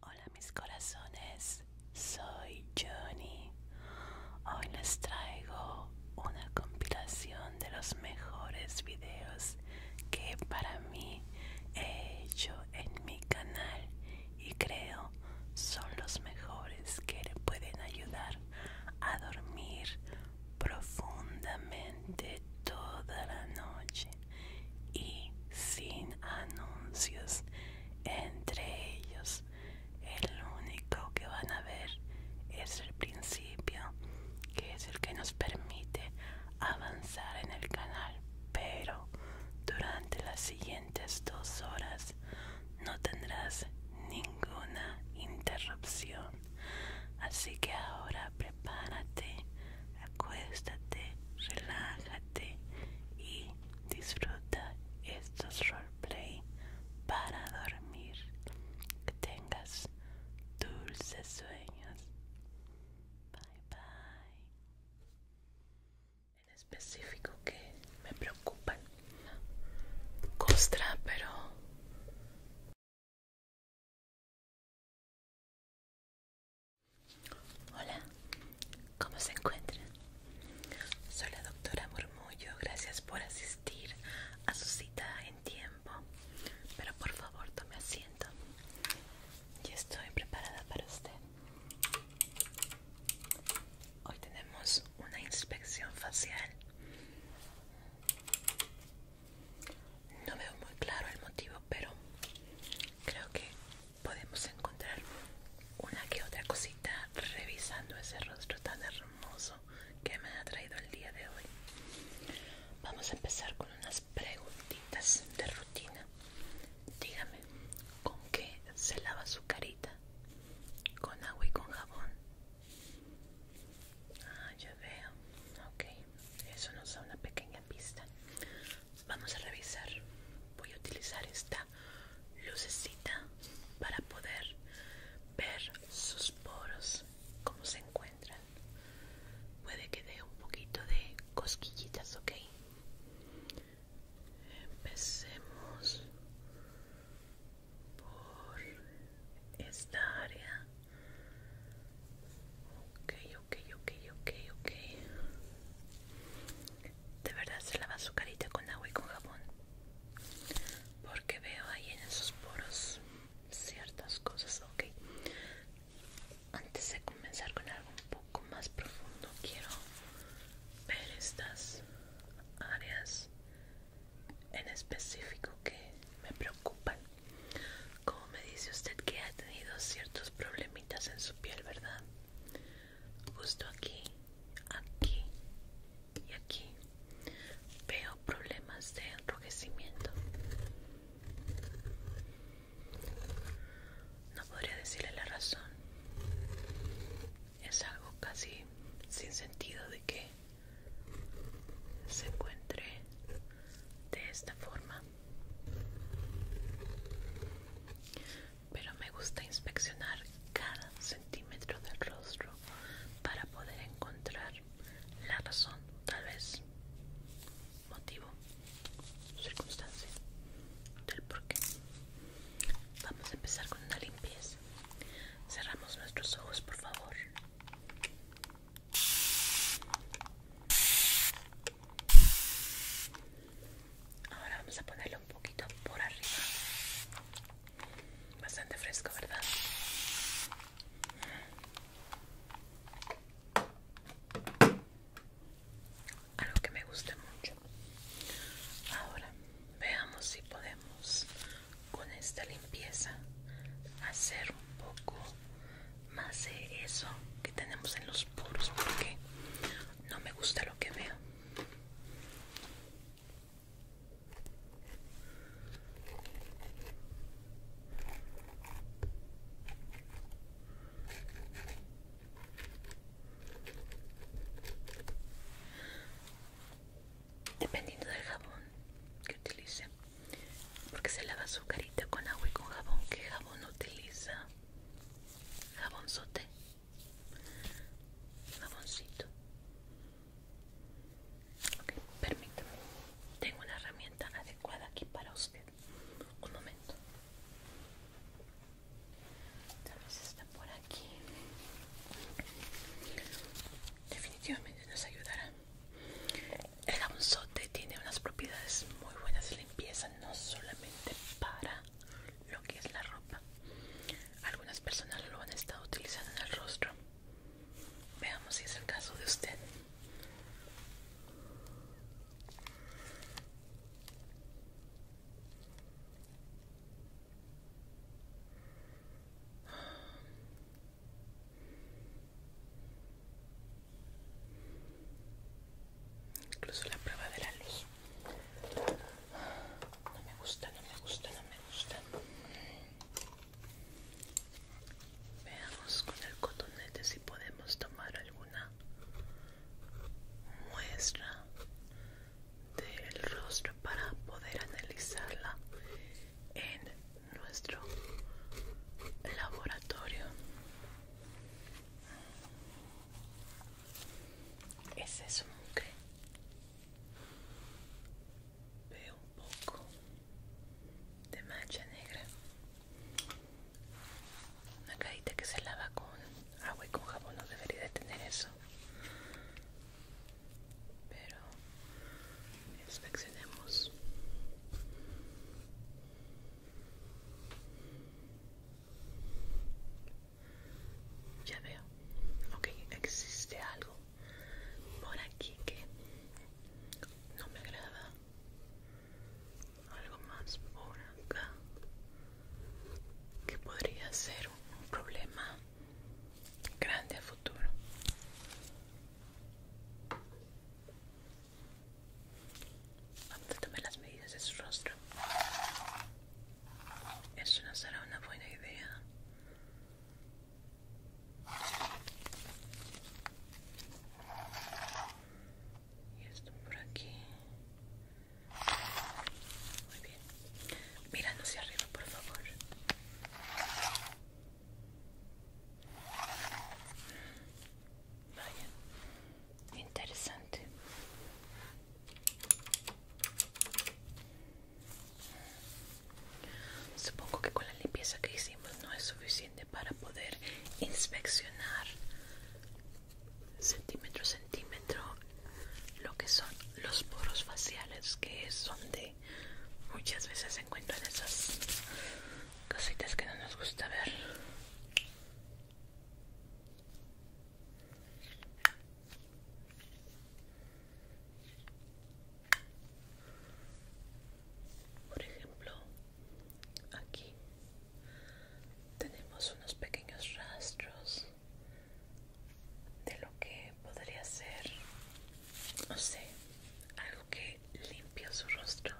Hola mis corazones, soy Johnny. Hoy les traigo una compilación de los mejores videos que para mí he hecho en mi canal y creo son los mejores que le pueden ayudar a dormir profundamente toda la noche y sin anuncios entre ellos. El único que van a ver es el principio, que es el que nos permite avanzar en el canal, pero durante las siguientes dos horas no tendrás ninguna interrupción. Así que ahora Párate, acuéstate, relájate y disfruta estos roleplay para dormir. Que tengas dulces sueños. Bye bye. En específico que me preocupa Costra, pero... Hola, ¿cómo se encuentran? Soy la doctora Murmullo, gracias por asistir a su cita en tiempo, pero por favor tome asiento. Ya estoy preparada para usted. Hoy tenemos una inspección facial. No veo muy claro el motivo, pero creo que podemos encontrar una que otra cosita revisando ese rostro tan hermoso que me ha traído el día de hoy. Vamos a empezar con unas preguntitas de rutina. Dígame, ¿con qué se lava su carita? ¿Con agua y con jabón? Ah, ya veo. Ok, eso nos da una pequeña vista. vamos a revisar voy a utilizar esta lucecita para poder ver sus poros como se encuentran puede que dé un poquito de cosquillitas ok empecemos por esta área ok ok, ok, ok, ok. De verdad se lava su carita con agua y con jabón. Porque veo ahí en esos poros ciertas cosas, ok. Antes de comenzar con algo un poco más profundo, quiero ver estas áreas en específico que me preocupan. Como me dice usted que ha tenido ciertos problemas en su piel, ¿verdad? Justo aquí, aquí y aquí veo problemas de enrojecimiento. No podría decirle la razón. Es algo casi sin sentido de que se encuentre de esta forma. Pero me gusta inspeccionar cada centímetro del rostro para poder encontrar la razón, tal vez motivo, circunstancia del porqué. Vamos a empezar con una limpieza. Cerramos nuestros ojos, por favor. Ahora vamos a ponerlo un poquito por arriba. Bastante fresco, ¿verdad? Algo que me gusta mucho. Ahora veamos si podemos con esta limpieza hacer un poco más de eso que tenemos en los poros porque no me gusta lo que veo. Dependiendo del jabón que utilice, porque se lava su carita con agua y con jabón. ¿Qué jabón utiliza? jabonzote jaboncito ok, permítame tengo una herramienta adecuada aquí para usted un momento tal vez está por aquí definitivamente nos ayudará el jabonzote tiene unas propiedades muy buenas de limpieza no solamente para lo que es la ropa. Algunas personas lo han estado utilizando en el rostro. Veamos si es el caso de usted. Incluso la prueba de la ley no me gusta, no me gusta, no me gusta. Veamos con el cotonete si podemos tomar alguna muestra del rostro para poder analizarla en nuestro laboratorio. Ese es un que veo un poco de mancha negra. Una caída que se lava con agua y con jabón no debería de tener eso. Pero inspeccionemos. Ya veo. Ok, existe algo por aquí que no me agrada. Algo más por acá que podría ser un problema grande a futuro. Vamos a tomar las medidas de su rostro. Eso no será una buena idea. Y esto por aquí. Muy bien. Mirando hacia arriba, por favor. Vaya. Interesante. Supongo que con la limpieza que hicimos no es suficiente para poder inspeccionar centímetro a centímetro lo que son los poros faciales, que es donde muchas veces se encuentran esas cositas que no nos gusta ver. Por ejemplo, aquí tenemos unos pequeños rastros de lo que podría ser, no sé, algo que limpia su rostro.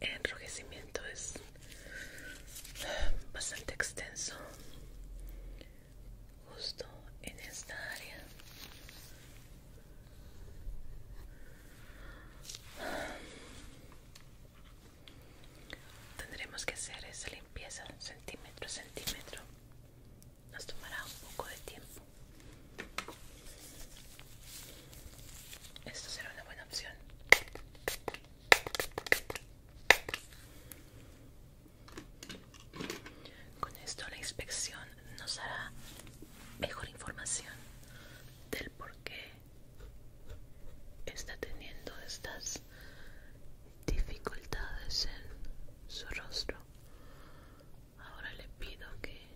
El enrojecimiento es bastante extenso justo en esta área tendremos que hacer esa limpieza centímetro a centímetro nos tomará un poco de tiempo esto será una buena opción con esto la inspección nos hará mejor información del por qué está teniendo estas dificultades en su rostro. Ahora le pido que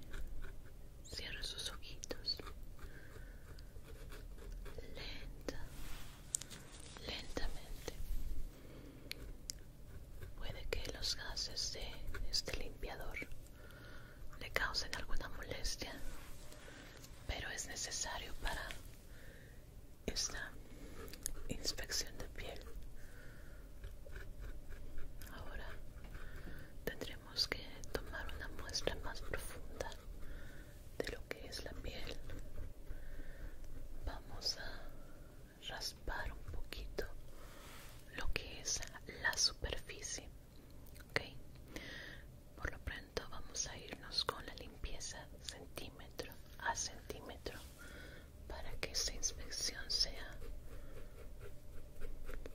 cierre sus ojitos lenta, lentamente. Puede que los gases de este limpiador le causen alguna molestia, pero es necesario para esta inspección de piel. Ahora tendremos que tomar una muestra más profunda de lo que es la piel vamos a raspar un poquito lo que es la superficie ok por lo pronto vamos a irnos con la limpieza centímetro a centímetro para que esa inspección sea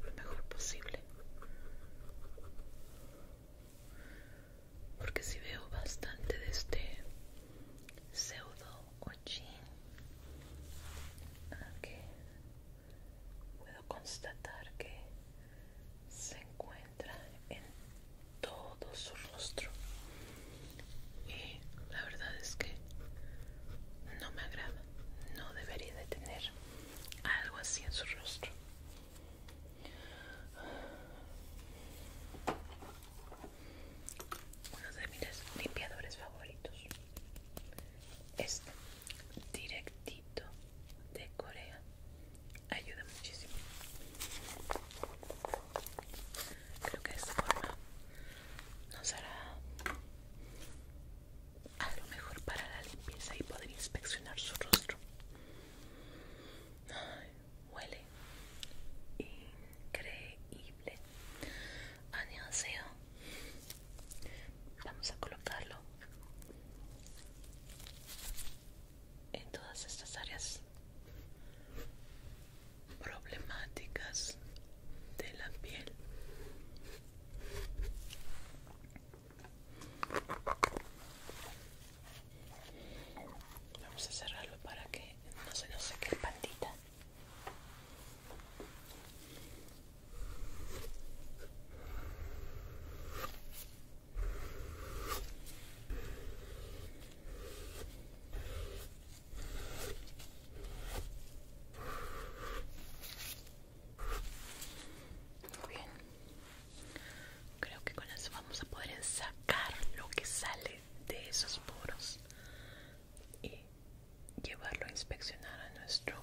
lo mejor posible porque si veo bastante de este pseudo cochín, ah, puedo constatar que se encuentra en todo su rostro y la verdad es que no me agrada no debería de tener algo así en su rostro uno de mis limpiadores favoritos este directito de Corea ayuda muchísimo creo que de esta forma nos hará lo mejor para la limpieza y poder inspeccionar su rostro huele increíble. Vamos a colocarlo en todas estas áreas problemáticas de la piel Vamos a cerrarlo para que no se nos seque el pandita. Muy bien. Creo que con eso vamos a poder sacar lo que sale de esos poros y llevarlo a inspeccionar a nuestro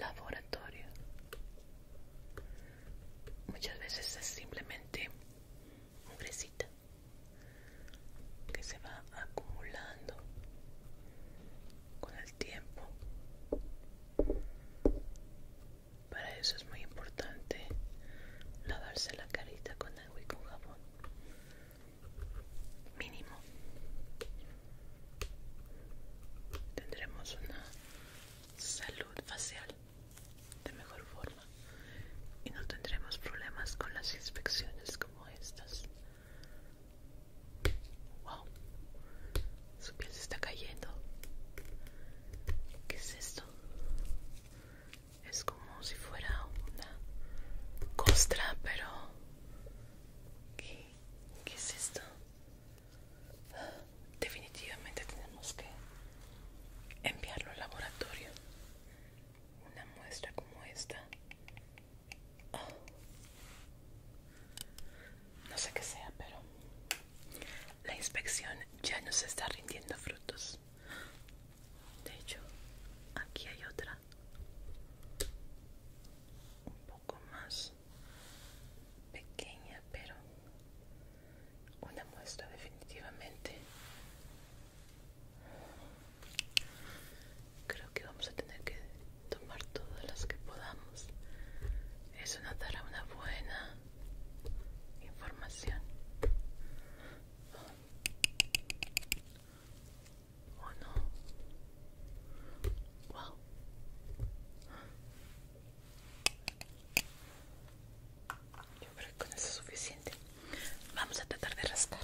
laboratorio. Muchas veces es simplemente un mugrecita que se va acumulando con el tiempo para eso es muy importante lavarse la carita con agua y con jabón. Mínimo. Tendremos una salud facial de mejor forma y no tendremos problemas con las inspecciones como estas. Wow, su piel se está cayendo. ¿Qué es esto? Es como si fuera una costra, pero... ¿Qué, es esto? Definitivamente tenemos que enviarlo al laboratorio. Una muestra como esta. Ah. No sé qué sea, pero la inspección ya nos está rindiendo frutos. De hecho, aquí hay otra. Un poco más pequeña, pero una muestra definitivamente. Creo que vamos a tener que tomar todas las que podamos. Eso nos dará una buena información o no wow yo creo que con eso es suficiente vamos a tratar de rascar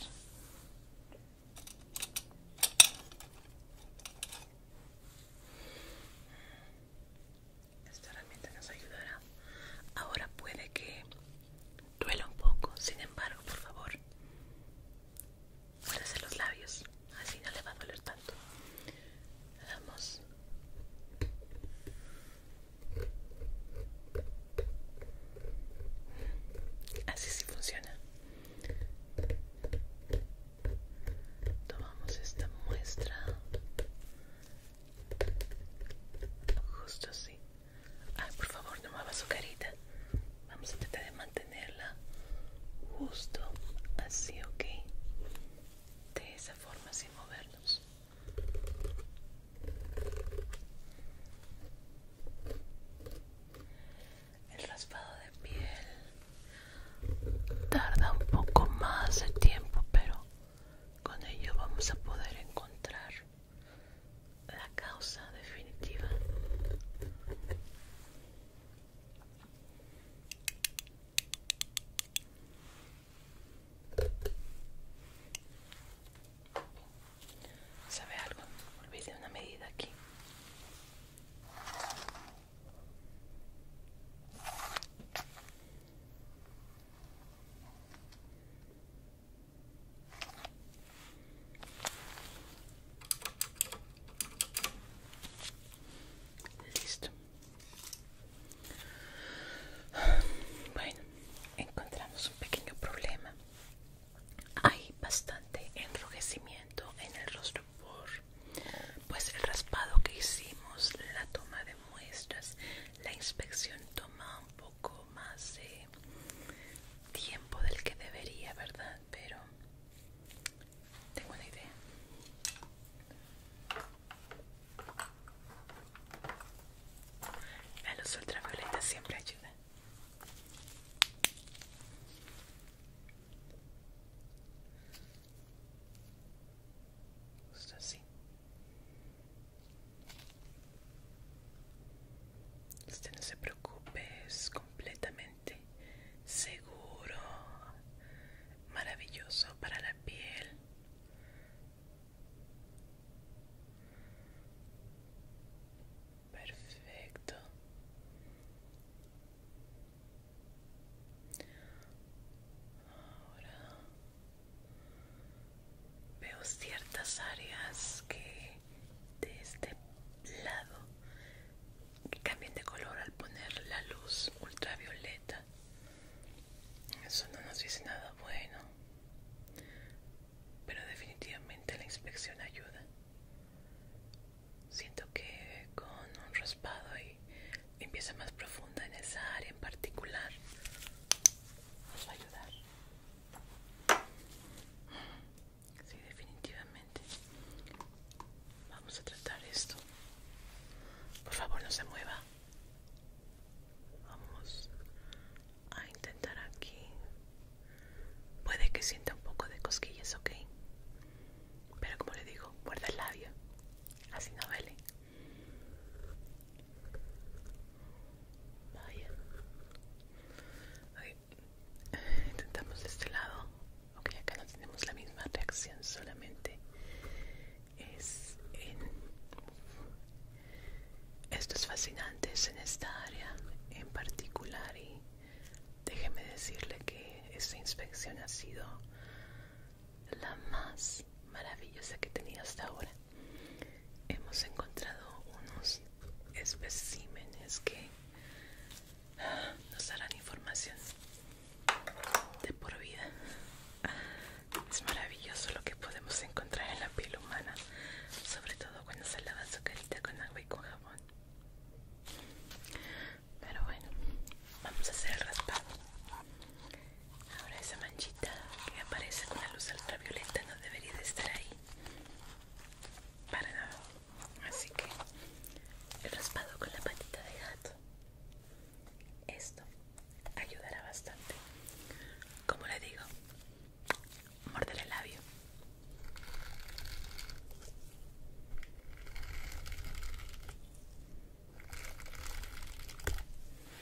esta herramienta nos ayudará. Ahora puede que duela un poco, sin embargo, por favor, muérdese los labios, así no le va a doler tanto. damos. Así sí funciona. Tomamos esta muestra Justo así. Ay, por favor, no mueva su carita. Vamos a tratar de mantenerla justo así, ¿ok? De esa forma, sin movernos. El raspado de piel tarda un poco más de tiempo, pero con ello vamos a poder encontrar la causa definitiva. ¿Sabe algo? Olvide una medida aquí. Listo. Bueno, encontramos un pequeño problema. Hay bastante enrojecimiento en el rostro por pues el raspado que hicimos, la toma de muestras la inspección toma un poco más de tiempo del que debería, ¿verdad? Pero tengo una idea. La los ultravioleta siempre ayudan Justo así. Usted no se preocupe, es completamente seguro, maravilloso para la piel. Perfecto. Ahora Veo ciertas áreas que de este lado que cambian de color al poner la luz ultravioleta. Eso no nos dice nada bueno. Pero definitivamente la inspección ayuda. Siento que con un raspado y empieza más profunda en esa área en particular nos va a ayudar. Sí, definitivamente. Vamos a tratar esto. Por favor, no se mueva. Vamos a intentar aquí. Puede que sienta un poco de cosquillas, ok. Pero como le digo, guarda el labio. Así no vele Vaya. Intentamos de este lado. Ok, acá no tenemos la misma reacción, solamente es en... Estos fascinantes en esta área en particular y déjeme decirle que esta inspección ha sido la más maravillosa que he tenido hasta ahora hemos encontrado unos especímenes que nos darán información de por vida. Es maravilloso lo que podemos encontrar en la piel humana, sobre todo cuando se lava su carita con agua y con jabón. Pero bueno, vamos a hacer el raspado. Ahora esa manchita que aparece con la luz ultravioleta no debería de estar ahí. Para nada. Así que el raspado con la patita de gato. Esto ayudará bastante. Como le digo, morder el labio.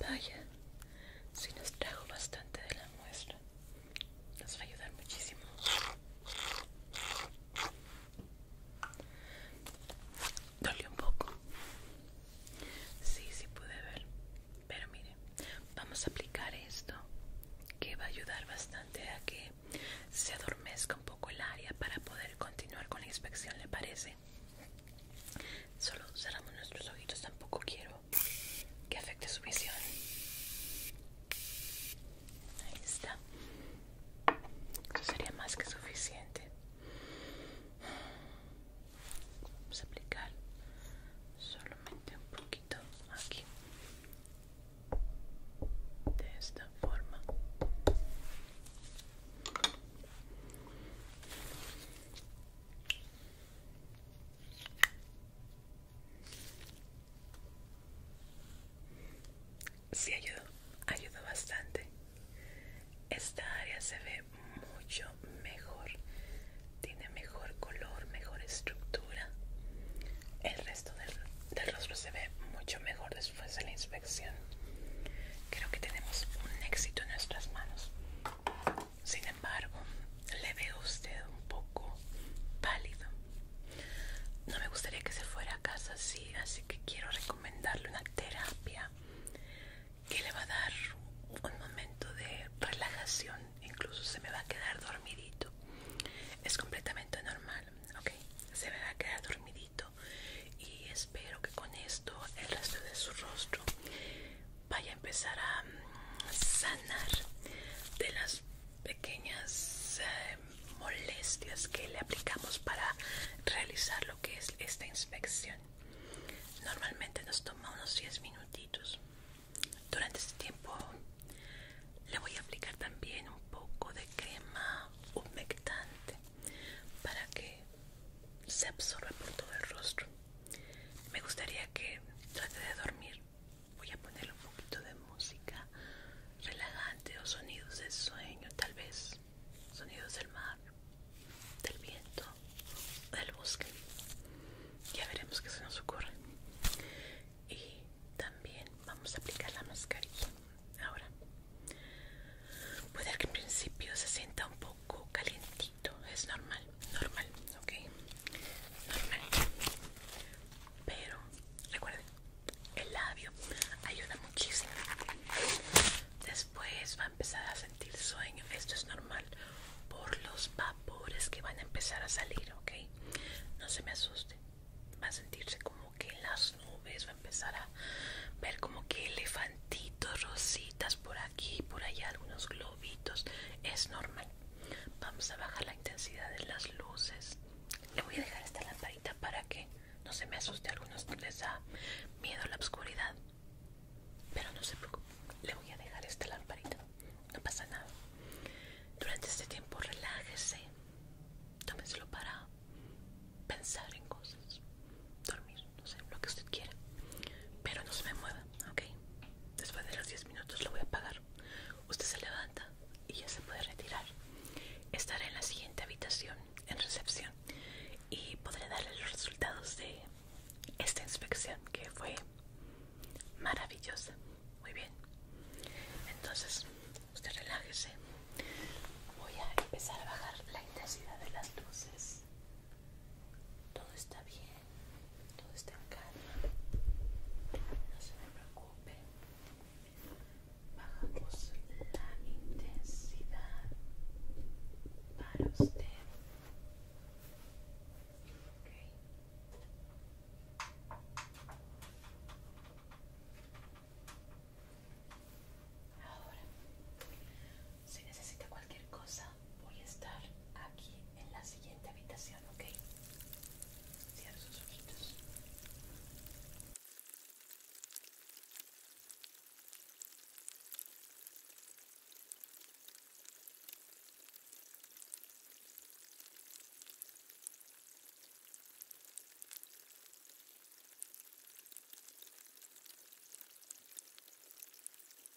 Vaya, si nos trajo bastante de la muestra, nos va a ayudar muchísimo. Dolió un poco. Sí, sí pude ver. Pero mire, vamos a aplicar esto que va a ayudar bastante a que se adormezca un poco el área para poder continuar con la inspección, ¿le parece? Solo cerramos nuestros ojitos, tampoco quiero que afecte su visión. Ahí está. Eso sería más que suficiente. Vamos a aplicar solamente un poquito aquí. De esta forma. Sí ayudó, ayudó bastante. Esta área se ve mucho mejor, tiene mejor color, mejor estructura. El resto del, del rostro se ve mucho mejor después de la inspección. Creo que tenemos un éxito en nuestras manos. Sin embargo, le veo usted un poco pálido. No me gustaría que se fuera a casa así, así que quiero recomendarle una terapia que le va a dar un momento de relajación. Incluso se me va a quedar dormidito. Es completamente normal, ¿ok? Se me va a quedar dormidito y espero que con esto el resto de su rostro vaya a empezar a mm, sanar de las pequeñas eh, molestias que le aplicamos para realizar lo que es esta inspección. Normalmente nos toma unos 10 minutitos. Durante este tiempo le voy a aplicar también un poco de crema humectante para que se absorba por todo el rostro me gustaría que trate de dormir voy a ponerle un poquito de música relajante o sonidos de sueño tal vez sonidos del mar del viento del bosque ya veremos qué se nos ocurre y también vamos a aplicar la mascarilla ahora puede que en principio se sienta un poco poco calientito, es normal, normal, ok, normal. Pero recuerden, el labio ayuda muchísimo. Después va a empezar a sentir sueño, esto es normal por los vapores que van a empezar a salir, ok. No se me asuste, va a sentirse como que las nubes, va a empezar a ver como que elefantitos, rositas por aquí por allá, algunos globitos, es normal. Vamos a bajar la intensidad de las luces. Le voy a dejar esta lamparita para que no se me asuste. A algunos les da miedo la oscuridad, pero no se preocupen Le voy a dejar esta lamparita, no pasa nada. Durante este tiempo, relájese, Tómeselo para pensar en cosas, dormir no sé, lo que usted quiera. Pero no se me mueva, ¿ok? Después de los 10 minutos lo voy a apagar. Usted se levanta y ya se puede retirar. Estaré en la siguiente habitación, en recepción, y podré darle los resultados de esta inspección que fue maravillosa. Muy bien. Entonces, usted relájese. Voy a empezar a bajar la intensidad de las luces todo está bien, todo está en calma, no se me preocupe. Bajamos la intensidad para usted. Ahora si necesita cualquier cosa, voy a estar aquí en la siguiente habitación, ¿ok? Cierro sus ojitos.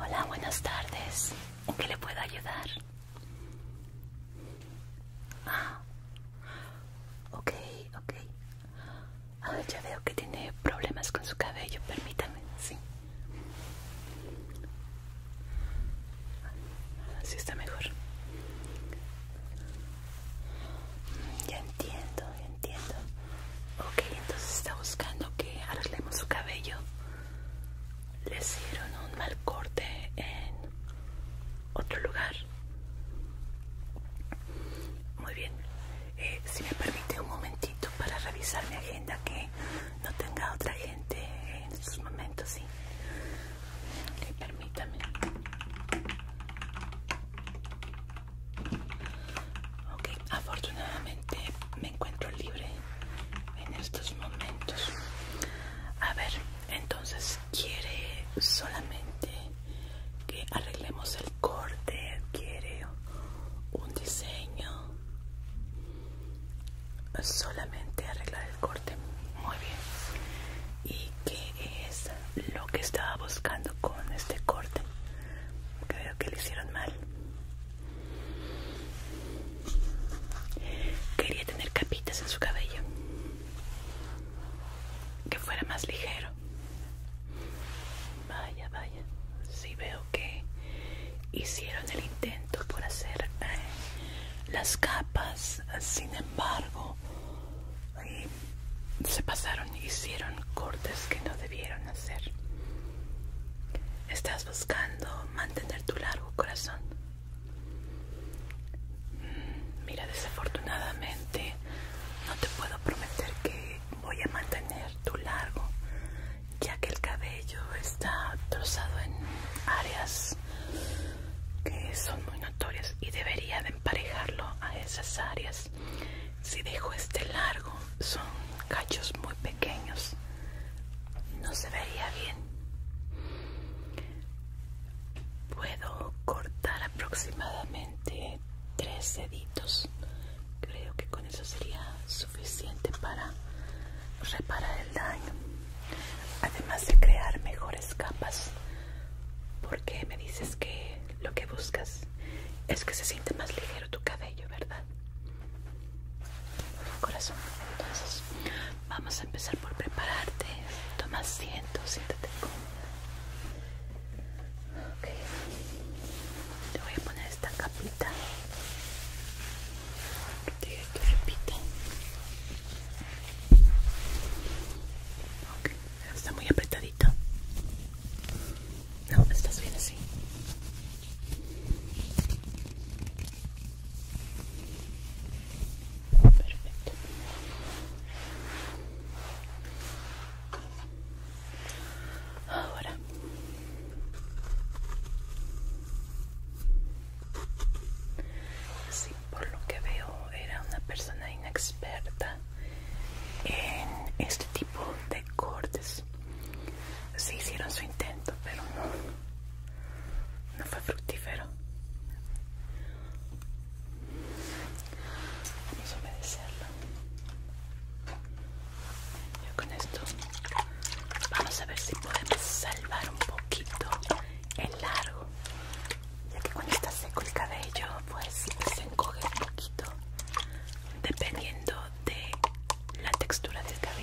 Hola, buenas tardes. ¿En qué le puedo ayudar? Ah, ok, ok. Ah, ya veo que tiene problemas con su cabello, permítame, sí. Así está mejor. Ya entiendo, ya entiendo. Ok, entonces está buscando que arreglemos su cabello. Le hicieron un mal corte en otro lugar. Muy bien. Eh, si me permite un momentito para revisar mi agenda que no tenga otra gente en estos momentos, ¿sí? permítame. Ok, afortunadamente me encuentro libre en estos momentos. A ver, entonces, ¿quiere solamente que arreglemos el corte? ¿Quiere un diseño? solamente arreglar el corte muy bien y qué es lo que estaba buscando con este corte creo que le hicieron mal quería tener capitas en su cabello que fuera más ligero vaya vaya si veo que hicieron el intento por hacer eh, las capas, sin embargo, eh, se pasaron y hicieron cortes que no debieron hacer. Estás buscando mantener tu largo corazón. Mm, mira, desafortunadamente no te puedo prometer que voy a mantener tu largo, ya que el cabello está trozado en áreas que son muy notorias y debería de emparejarlo a esas áreas si dejo este largo son cachos muy pequeños no se vería bien puedo cortar aproximadamente tres deditos creo que con eso sería suficiente para reparar el daño además de crear mejores capas porque me dices que lo que buscas es que se siente más ligero tu cabello verdad corazón entonces vamos a empezar por prepararte toma asiento siéntate cómoda te voy a poner esta capita Repite que Okay. Está muy apretadito. No, estás bien así. Perfecto. Ahora Sí, por lo que veo era una persona inexperta en este tipo de cortes. Se hicieron su intento, pero no, no fue fructífero. Vamos a obedecerlo. Yo con esto Vamos a ver si podemos salvar un poquito el largo. Ya que cuando está seco el cabello, pues se encoge un poquito dependiendo de la textura del cabello.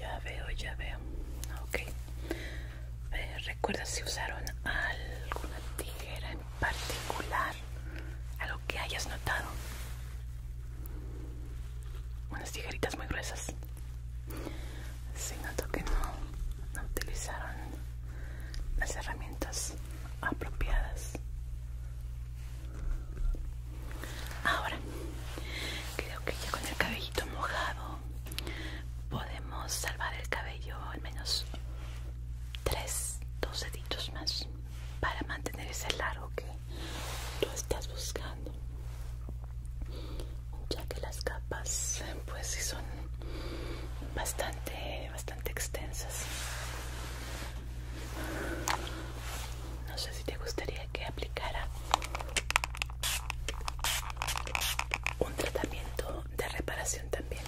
Ya veo, ya veo. Ah, okay. Eh, Recuerda si usaron alguna tijera en particular, algo que hayas notado unas tijeritas muy gruesas. Se que no, utilizaron las herramientas apropiadas. Ahora, creo que ya con el cabellito mojado podemos salvar el cabello al menos tres, dos deditos más para mantener ese largo que tú estás buscando ya que las capas pues sí son bastante bastante extensas no sé si te gustaría que aplicara un tratamiento de reparación también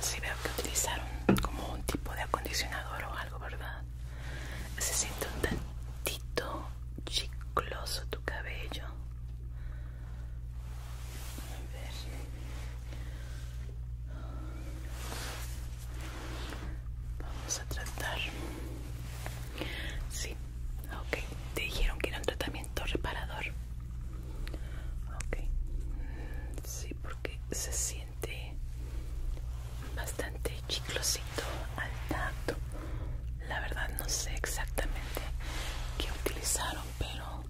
si veo que utilizaron como un tipo de acondicionador o algo ¿verdad? Se siente un tantito chicloso tu cabello. A ver. Vamos a tratar. Sí, ok. Te dijeron que era un tratamiento reparador. Ok. Mm, sí, porque se siente bastante chiclosito al tacto la verdad no sé exactamente qué utilizaron pero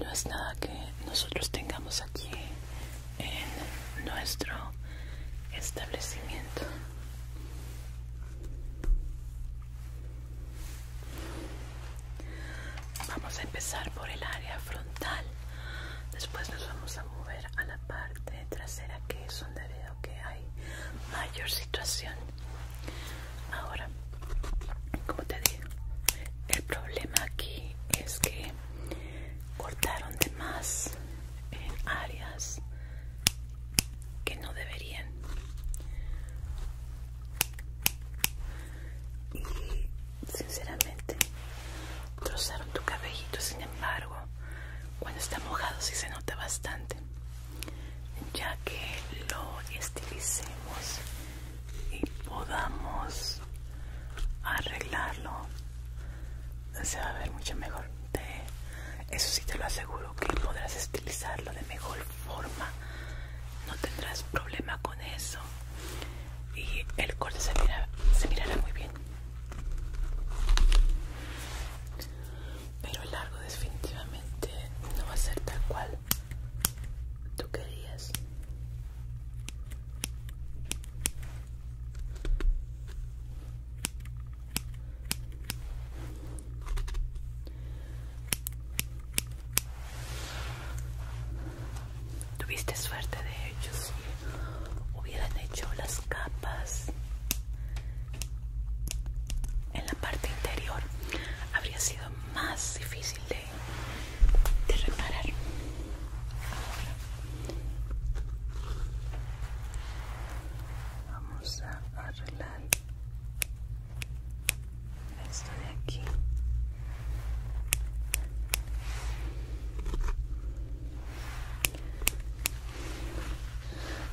no es nada que nosotros tengamos aquí en nuestro establecimiento Vamos a empezar por el área frontal. Después nos vamos a mover a la parte trasera que es donde veo que hay mayor situación. Ahora, como te digo, el problema aquí es que cortaron de más en áreas que no deberían. Y sinceramente trozaron tu cabellito, sin embargo, cuando está mojado si se nota bastante, ya que lo estilicemos y podamos arreglarlo, se va a ver mucho mejor. de eso sí te lo aseguro que podrás estilizarlo de mejor forma, no tendrás problema con eso y el corte se, se mirará muy bien pero el largo definitivamente no va a ser tal cual tú querías tuviste suerte de hecho Si hubieran hecho las capas en la parte interior habría sido más difícil de, de reparar ahora vamos a arreglar esto de aquí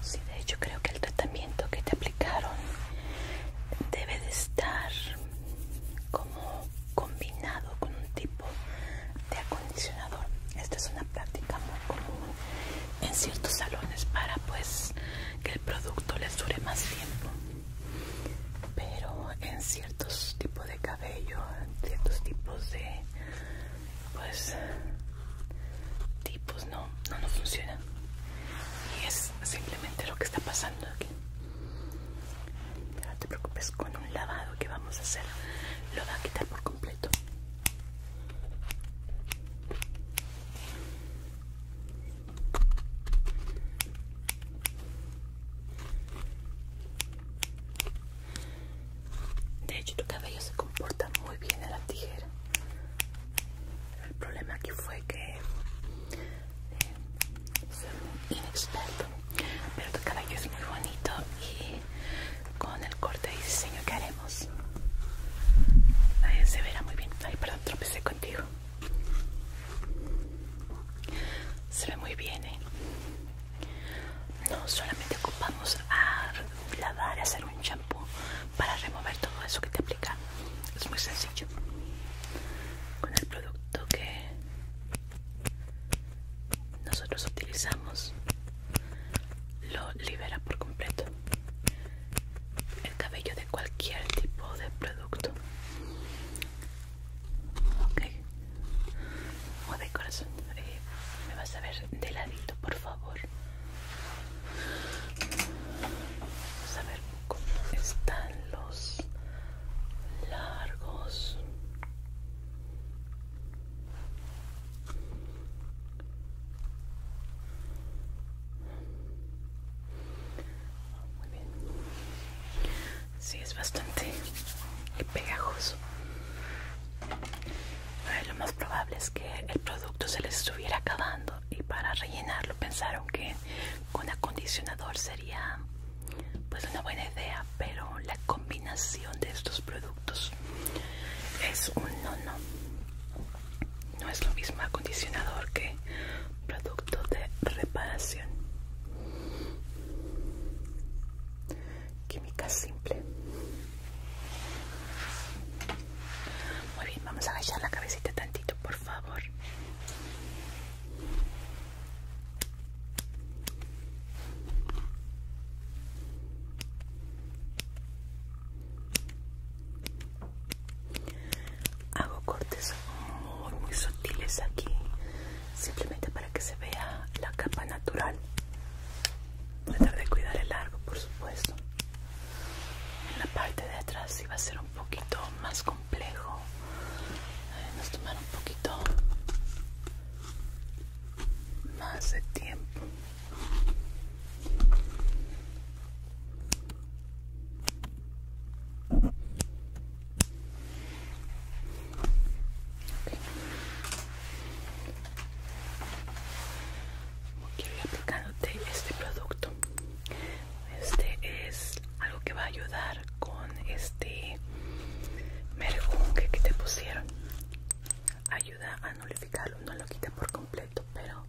Sí, de hecho creo que el tratamiento que te aplicaron debe de estar como combinado con un tipo de acondicionador. Esta es una práctica muy común en ciertos salones para pues que el producto les dure más tiempo. Pero en ciertos tipos de cabello, ciertos tipos de pues tipos no, no nos funcionan. Y es simplemente lo que está pasando aquí. no te preocupes, con un lavado que vamos a hacer, lo va a quitar por completo. De hecho, tu cabello se comporta muy bien a la tijera. El problema aquí fue que eh, soy muy inexperto, pero tu cabello es muy bonito y con el corte y diseño que haremos eh, se verá muy bien. Ay, perdón, tropecé contigo. Se ve muy bien, ¿eh? No solamente ocupamos a lavar, a hacer un champú para remover todo eso que te aplica. Es muy sencillo. Con el producto que nosotros utilizamos lo libera por completo el cabello de cualquier tipo de producto Ok. Oh, de corazón. Eh, me vas a ver de ladito, por favor. Vamos a ver cómo están los largos. Sí, es bastante pegajoso. lo más probable es que el producto se les estuviera acabando y para rellenarlo pensaron que con acondicionador sería pues una buena idea, pero la combinación de estos productos es un no no. No es lo mismo acondicionador que producto de reparación química simple. Muy bien, vamos a agachar la cabecita tantito, por favor. Hago cortes muy muy sutiles aquí simplemente para que se vea la capa natural tratar de cuidar el largo por supuesto en la parte de atrás iba va a ser un poquito más complejo eh, nos tomar un poquito más de tiempo Voy a ir aplicándote este producto. Este es algo que va a ayudar con este merjunque que te pusieron. Ayuda a nulificarlo, no lo quita por completo, pero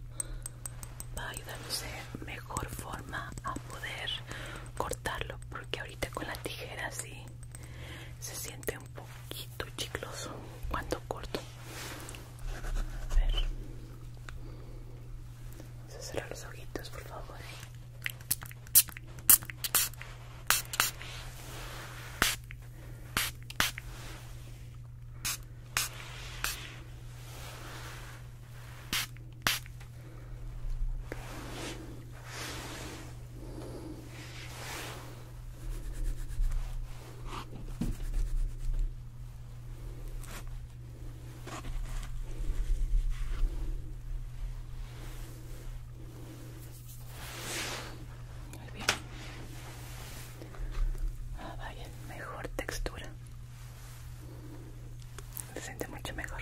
va a ayudarnos de mejor forma a poder cortarlo porque ahorita con la tijera Así se siente un poquito chicloso cuando corto a ver vamos a cerrar los ojitos por favor muy bien. Ah, vaya, mejor textura. Se siente mucho mejor.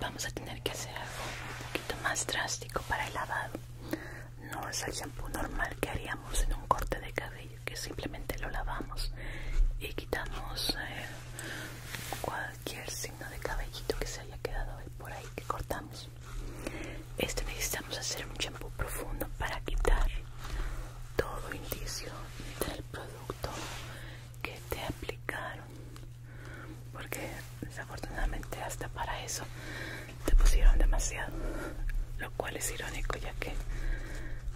vamos a tener que hacer algo un poquito más drástico para el lavado. No es el shampoo normal que haríamos en un corte de cabello, que simplemente lo lavamos y quitamos eh, cualquier signo de cabellito que se haya quedado por ahí que cortamos. Este necesitamos hacer un shampoo profundo para quitar todo indicio del producto que te aplicaron porque desafortunadamente hasta para eso te pusieron demasiado lo cual es irónico ya que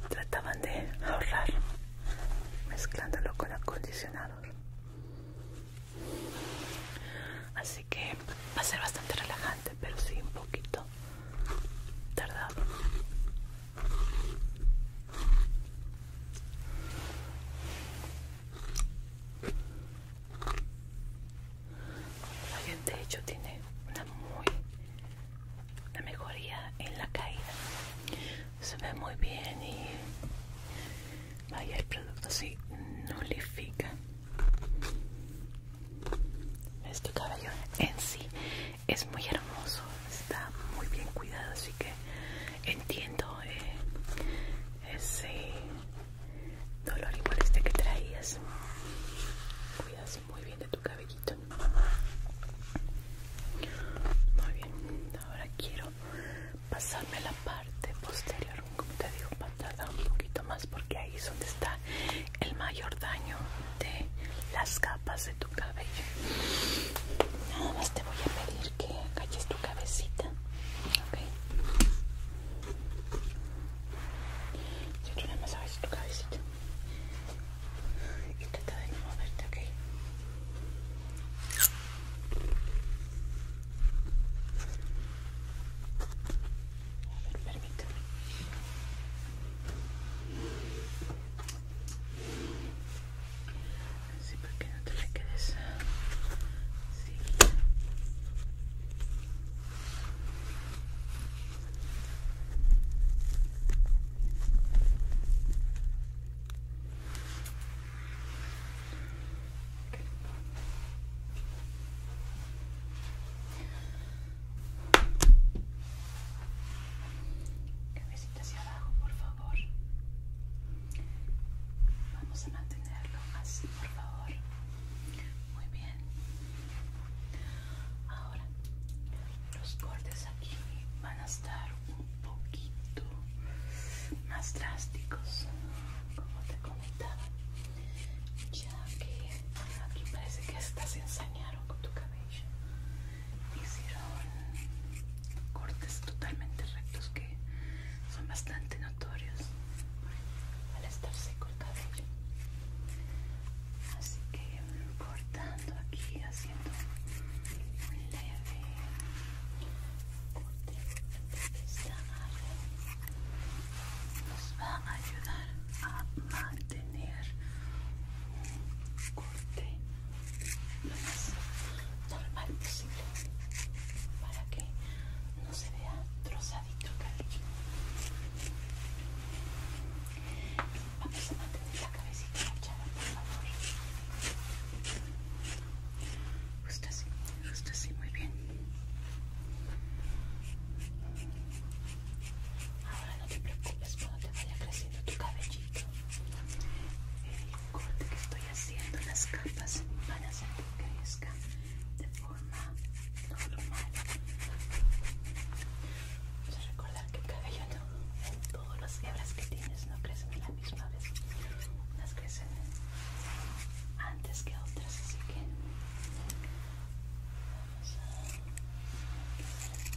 trataban de ahorrar mezclándolo con acondicionador así que va a ser bastante relajante pero sí un poquito tardado la de hecho tiene una muy una mejoría en la caída. Se ve muy bien y vaya el producto así nulifica. Este cabello en sí es muy hermoso, está muy bien cuidado, así que entiendo eh, ese dolor igual este que traías. Cuidas muy bien de tu cabellito. Muy bien, ahora quiero pasarme la parte posterior, como te digo, patada un poquito más, porque ahí es donde está el mayor daño de las capas de tu cabello. Nada más te voy a pedir que calles tu cabecita, ¿ok? Se hecho un masaje en tu cabecita y trata de no moverte, ¿ok? A ver, permítame. Así para qué? que no te me quedes sí. Cabecita hacia abajo, por favor. Vamos a mantenerlo así, por favor. Muy bien. Ahora, los cortes aquí van a estar un poquito más drásticos, como te comentaba. Ya que aquí parece que estás se ensañaron con tu cabello. Hicieron cortes totalmente rectos que son bastante notorios al estar seco el cabello así que cortando aquí haciendo un leve corte de esta área nos va a ayudar a mantener un corte lo más normal posible para que no se vea trozadito, cabello Vamos a mantener la cabecita agachada, por favor. Justo así, justo así, muy bien. Ahora no te preocupes cuando te vaya creciendo tu cabellito. El eh, corte que estoy haciendo, las capas, van a hacer que crezca forma normal. Vamos a recordar que el cabello no, todas las hebras que tienes no crecen a la misma vez. Unas crecen antes que otras, así que vamos a hacer este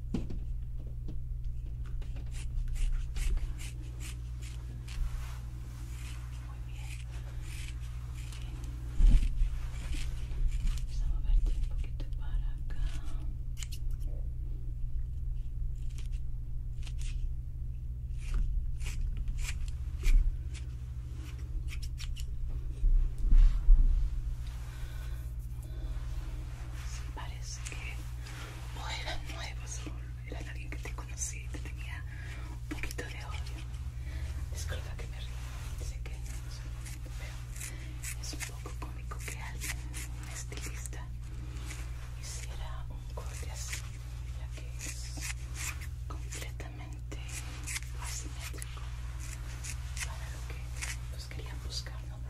muy Vamos a moverte un poquito para acá. Sí, parece que o eran nuevos o eran alguien que te conocía y te tenía un poquito de odio. Disculpa que me río, sé que no es un momento, pero es un poco cómico que alguien, un estilista, hiciera un corte así, ya que es completamente asimétrico para lo que pues, querían buscar, ¿no?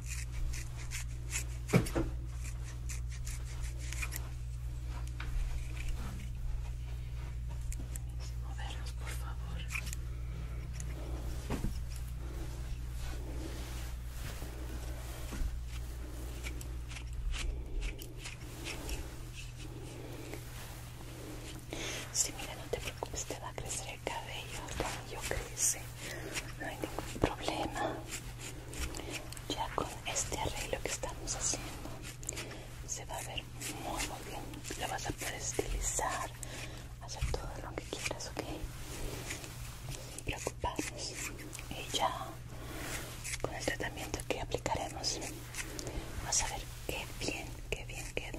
Sin movernos, por favor. Sí, mira, no te preocupes, te va a crecer el cabello, yo crece, no hay ningún problema ya con este arreglo que estamos haciendo se va a ver muy muy bien lo vas a poder estilizar hacer todo lo que quieras ok preocuparnos y ya con el tratamiento que aplicaremos vas a ver qué bien qué bien queda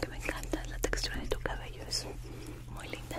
que me encanta la textura de tu cabello, es muy linda.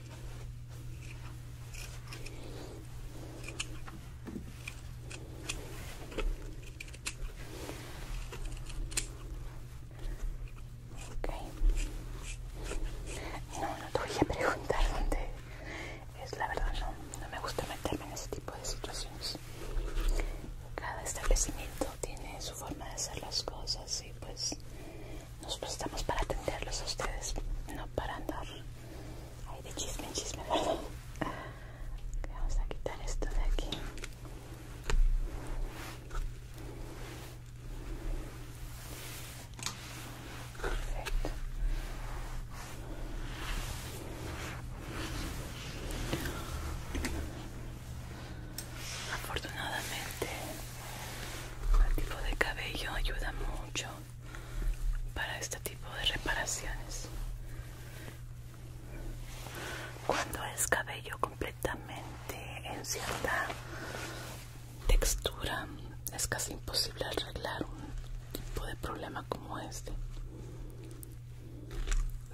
No, no te voy a preguntar dónde es, la verdad no, no me gusta meterme en ese tipo de situaciones. Cada establecimiento tiene su forma de hacer las cosas y pues nos prestamos para atenderlos a ustedes, no para andar ahí de chisme en chisme, ¿verdad? vamos a quitar esto de aquí. Perfecto. Afortunadamente el tipo de cabello ayuda mucho para este tipo de reparaciones cuando es cabello completamente en cierta textura es casi imposible arreglar un tipo de problema como este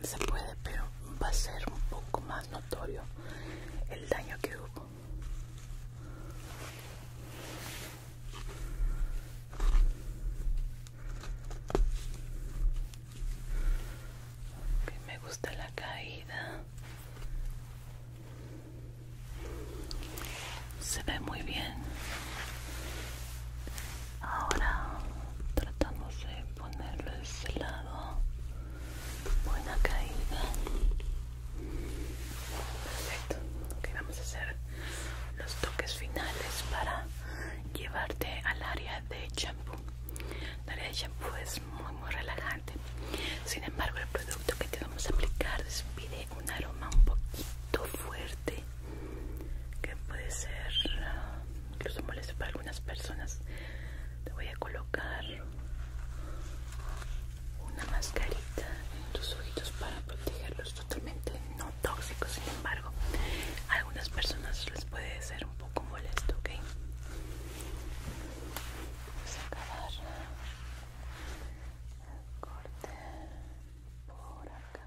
se puede pero va a ser un poco más notorio el daño que hubo me gusta la caída. Se ve muy bien. Ahora tratamos de ponerlo de ese lado. Buena caída. Perfecto. Ok, vamos a hacer los toques finales para llevarte al área de champú. El área de champú es muy, muy relajante. Sin embargo, el producto que te vamos a aplicar despide un aroma un poquito fuerte que puede ser ah, incluso molesto para algunas personas. Te voy a colocar una mascarita en tus ojitos para protegerlos totalmente no tóxicos sin embargo a algunas personas les puede ser un poco molesto ok vamos a acabar corte por acá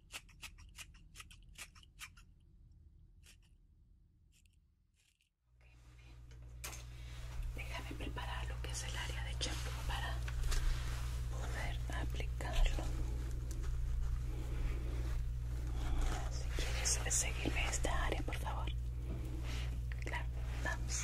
Déjame preparar lo que es el área de champú para poder aplicarlo. Si quieres seguirme esta área, por favor. Claro, vamos.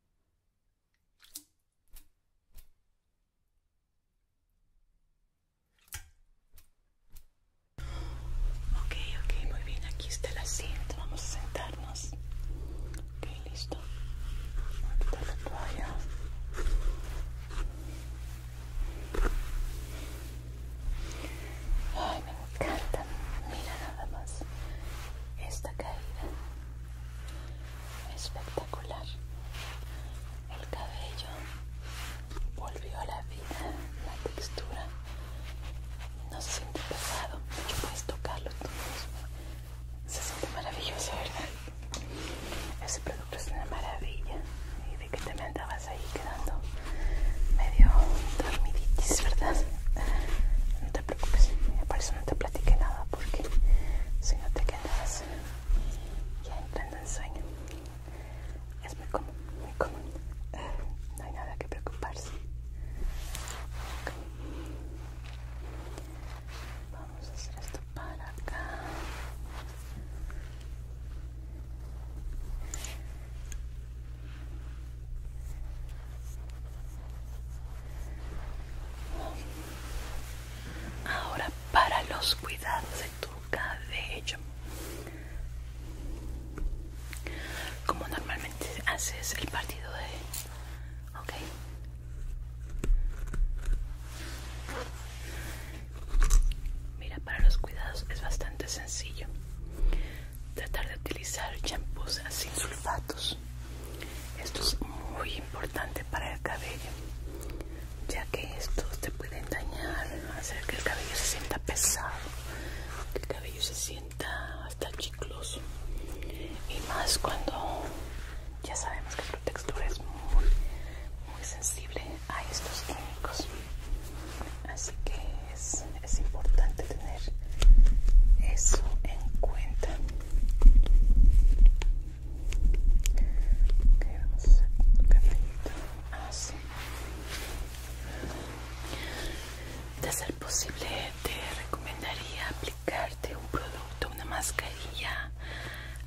Ok, ok, muy bien, aquí está el asiento, vamos a sentarnos. Ok, listo. Vamos a quitar la encantan, Mira nada más esta caída. Espectacular. El cabello volvió a la vida, la textura. No se siente pesado, mucho puedes tocarlo tú mismo. Se siente maravilloso, ¿verdad? Ese producto es una maravilla. Y de que te me andabas ahí quedando medio dormiditis, ¿verdad? No te preocupes, por eso no te platiqué nada, porque si no te quedas ya entrando en sueño. Es muy común, muy común. No hay nada que preocuparse. Vamos a hacer esto para acá. Ahora para los cuidados de tu cabello. Como normalmente haces el partido de... Ok. Mira, para los cuidados es bastante sencillo tratar de utilizar champús sin sulfatos. Esto es muy importante para el cabello, ya que estos te pueden dañar, hacer que el cabello se sienta pesado, que el cabello se sienta hasta chicloso. Y más cuando ya sabemos que tu textura es muy, muy sensible a estos químicos. Así que es importante tener eso en cuenta. Ah, De ser posible, te recomendaría aplicarte un producto, una mascarilla,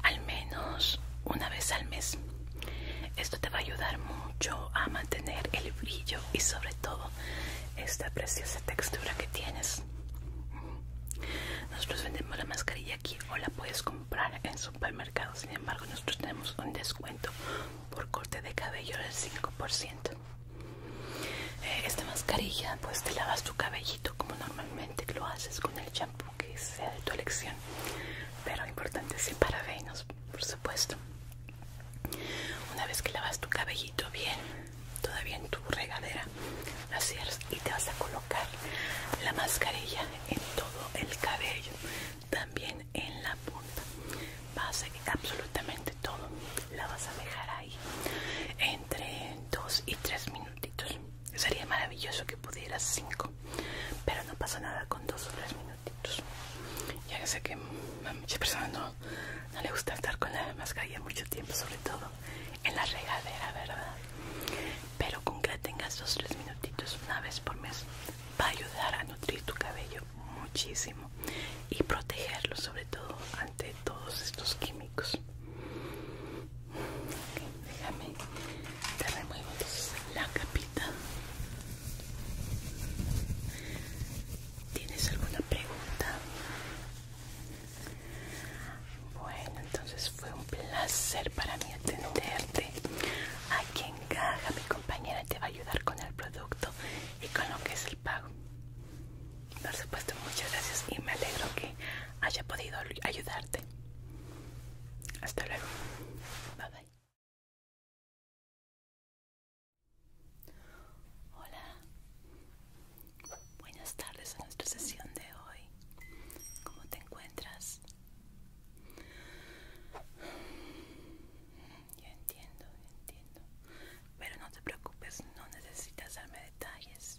al menos una vez al mes. Esto te va a ayudar mucho a mantener el brillo y sobre todo esta preciosa textura que tienes nosotros vendemos la mascarilla aquí o la puedes comprar en supermercados sin embargo nosotros tenemos un descuento por corte de cabello del 5% eh, esta mascarilla pues te lavas tu cabellito como normalmente lo haces con el champú que sea de tu elección pero importante sin parabenos por supuesto una vez que lavas tu cabellito bien todavía en tu regadera la cierras y te vas a colocar la mascarilla en todo el cabello también en la punta vas a e, absolutamente todo la vas a dejar ahí entre 2 y tres minutitos sería maravilloso que pudieras 5 pero no pasa nada con dos o tres minutitos ya sé que me mm, muchas no, no, le gusta estar con la mascarilla mucho tiempo, sobre todo en la regadera, ¿verdad? Pero con que la tengas dos o tres minutitos una vez por mes va a ayudar a nutrir tu cabello muchísimo y protegerlo, sobre todo ante todos estos químicos. déjame, te remuevo entonces la capita. ¿Tienes alguna pregunta? Bueno, entonces fue un placer para mí atenderte. Aquí en caja mi compañera te va a ayudar con el producto y con lo que es el pago. Por supuesto, muchas gracias y me alegro que haya podido ayudarte. Hasta luego. Bye bye. Hola, buenas tardes a nuestra sesión de hoy. ¿Cómo te encuentras? Yo entiendo, ya entiendo. Pero no te preocupes, no necesitas darme detalles.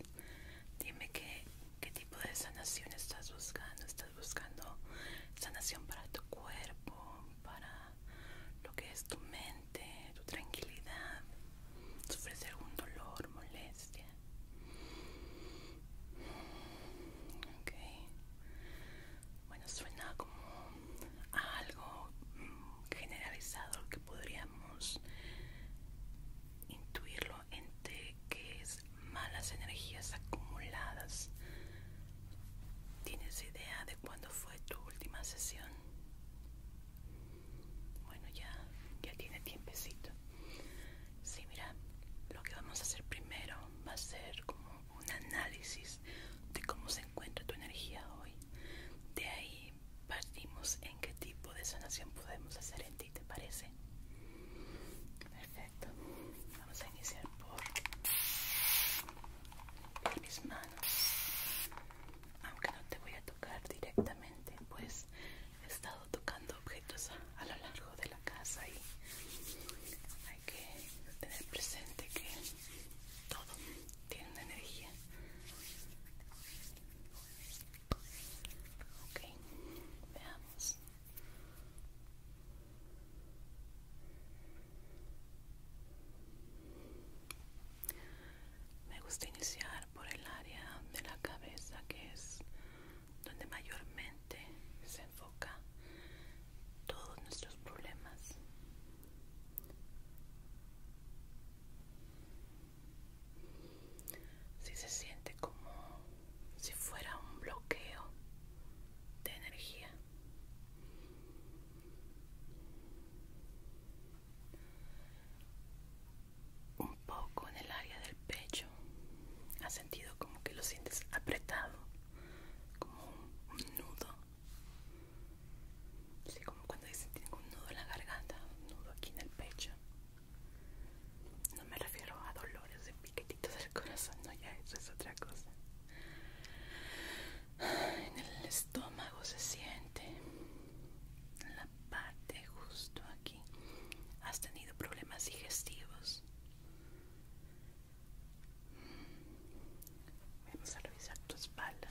Dime qué, qué tipo de sanación estás buscando. ¿Estás buscando sanación para tu cuerpo, para lo que es tu mente? tu tranquilidad. sufrir algún dolor, molestia? Bueno, suena como algo mm, generalizado que podríamos intuirlo entre que es malas energías acumuladas. ¿Tienes idea de cuándo fue tu última sesión? Bueno, ya, ya tiene tiempecito. Sí, mira, lo que vamos a hacer primero va a ser como un análisis de cómo se encuentra tu energía hoy. De ahí partimos en qué tipo de sanación podemos hacer en ti, ¿te parece? Perfecto. Vamos a iniciar por, mis manos. Aunque no te voy a directamente pues he estado tocando objetos a, lo largo de la casa y hay que tener presente que todo tiene una energía ok veamos me gusta iniciar por el área de la cabeza que es donde mayormente se enfoca todos nuestros problemas. Si se siente como si fuera un bloqueo de energía un poco en el área del pecho. ¿Has sentido como que lo sientes apretado? Como un, nudo. así como cuando dicen tengo un nudo en la garganta, un nudo aquí en el pecho. No me refiero a dolores de piquetitos del corazón, no, ya eso es otra cosa. En el estómago se siente en la parte justo aquí has tenido problemas digestivos vamos a revisar tu espalda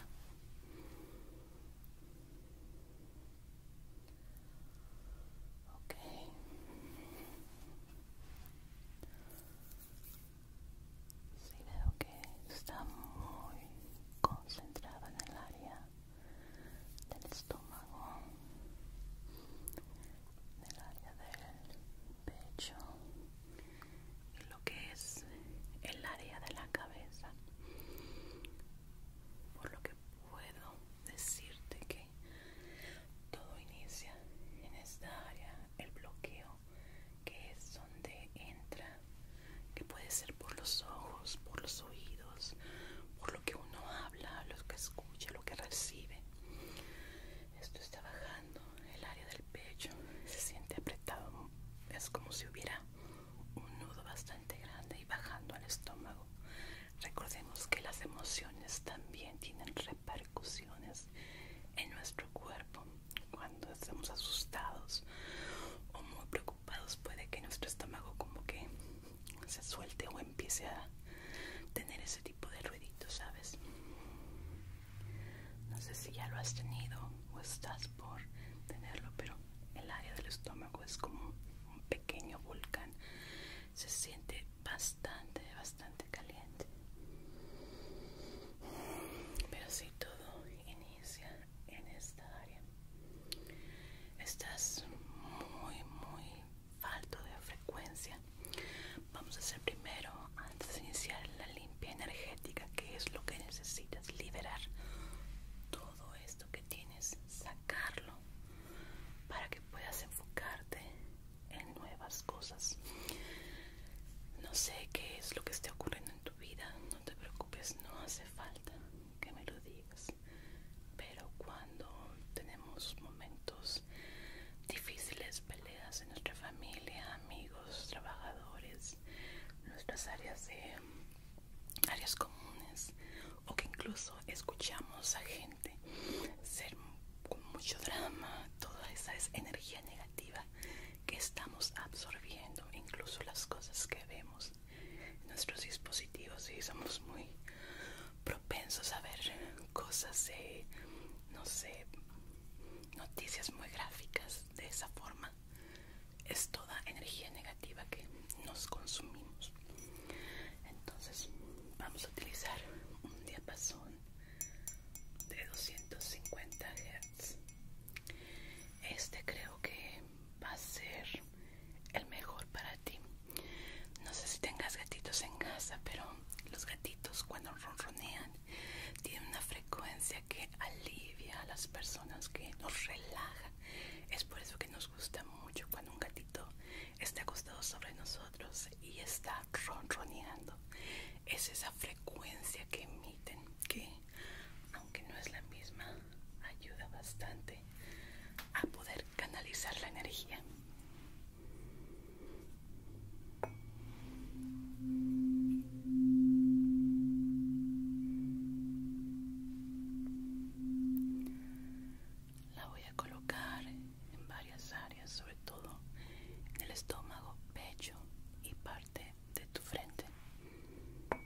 ok sí veo que está muy concentrada en el área del estómago, del área del pecho y lo que es el área de la cabeza. Por lo que puedo decirte que todo inicia en esta área, el bloqueo, que es donde entra que puede ser por los ojos, por los oídos, por lo que uno habla, lo que escucha, lo que recibe. Esto está bajando el área del pecho, se siente apretado, es como si hubiera un nudo bastante grande y bajando al estómago. Recordemos que las emociones también tienen repercusiones en nuestro cuerpo. Cuando estamos asustados o muy preocupados puede que nuestro estómago como que se suelte o empiece a tener ese tipo de ruidito, ¿sabes? No sé si ya lo has tenido o estás por tenerlo, pero el área del estómago es como un pequeño volcán. Se siente bastante, bastante caliente. Pero si todo inicia en esta área. Estás muy, muy falto de frecuencia. Vamos a hacer primero, antes de iniciar la limpia energética, que es lo que necesitas, liberar todo esto que tienes, sacarlo para que puedas enfocarte en nuevas cosas. No sé qué es lo que está ocurriendo en tu vida, no te preocupes, no hace falta que me lo digas. Pero cuando tenemos momentos difíciles, peleas en nuestra familia, amigos, trabajadores, nuestras áreas de áreas comunes o que incluso escuchamos a gente ser con mucho drama, toda esa es energía negativa que estamos absorbiendo, incluso las cosas que vemos nuestros dispositivos y somos muy propensos a ver cosas no sé, noticias muy gráficas de esa forma. Es toda energía negativa que nos consumimos. Entonces vamos a utilizar un diapasón de 250 Hz. Este creo que va a ser el mejor para ti. No sé si tengas gatitos en casa, pero los gatitos cuando ronronean tienen una frecuencia que alivia a las personas, que nos relaja. Es por eso que nos gusta mucho cuando un gatito está acostado sobre nosotros y está ronroneando. Es esa frecuencia que emiten, que aunque no es la misma, ayuda bastante a poder canalizar la energía. La voy a colocar en varias áreas, sobre todo en el estómago, pecho y parte de tu frente.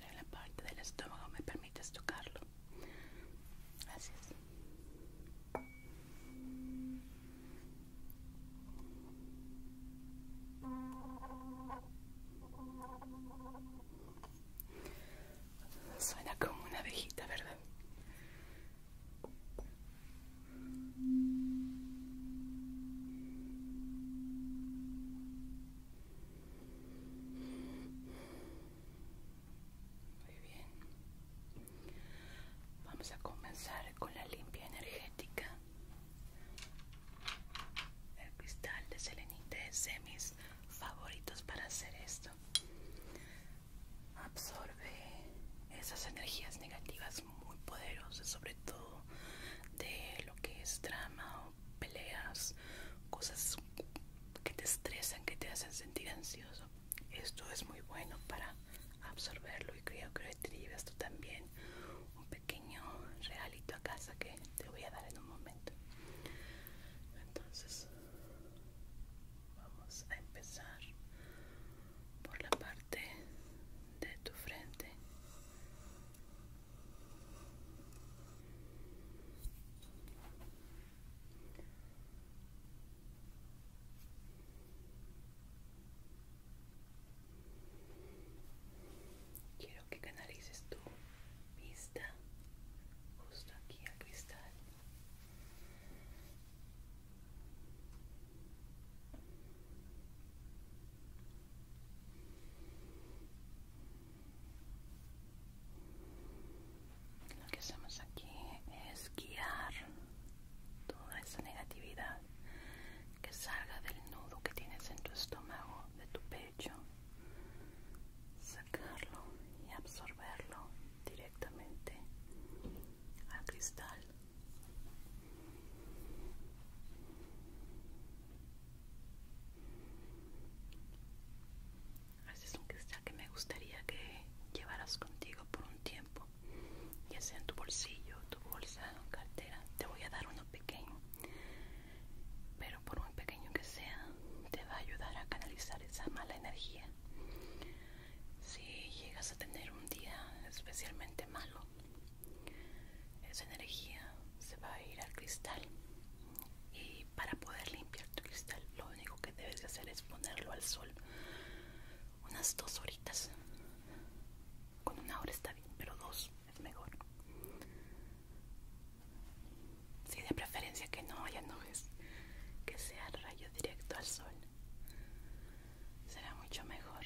en la parte del estómago me permites tocarlo. Gracias. Suena como una abejita, ¿verdad? Muy bien. Vamos a comenzar con la limpia energética. El cristal de selenite es de mis favoritos para hacer esto. Absorbe esas energías negativas muy poderosas, sobre todo de lo que es drama o peleas, cosas que te estresan, que te hacen sentir ansioso. Esto es muy bueno para absorberlo y creo que lo tú también un pequeño realito a casa que te voy a dar en un momento. Entonces, vamos a empezar por la parte de tu frente. Quiero que canalices tu vista justo aquí a cristal. Lo que hacemos aquí es guiar toda esa negatividad que salga del nudo que tienes en tu estómago, de tu pecho, sacarlo y absorberlo directamente al cristal. Ese es un cristal que me gustaría que llevaras contigo por un tiempo ya sea en tu bolsillo, tu bolsa cartera. Te voy a dar uno pequeño, pero por muy pequeño que sea, te va a ayudar a canalizar esa mala energía. Si llegas a tener un día especialmente malo, esa energía se va a ir al cristal. Y para poder limpiar tu cristal, lo único que debes de hacer es ponerlo al sol unas dos horitas con una hora está bien, pero dos es mejor. Si de preferencia que no haya nubes, que sea rayo directo al sol. Será mucho mejor.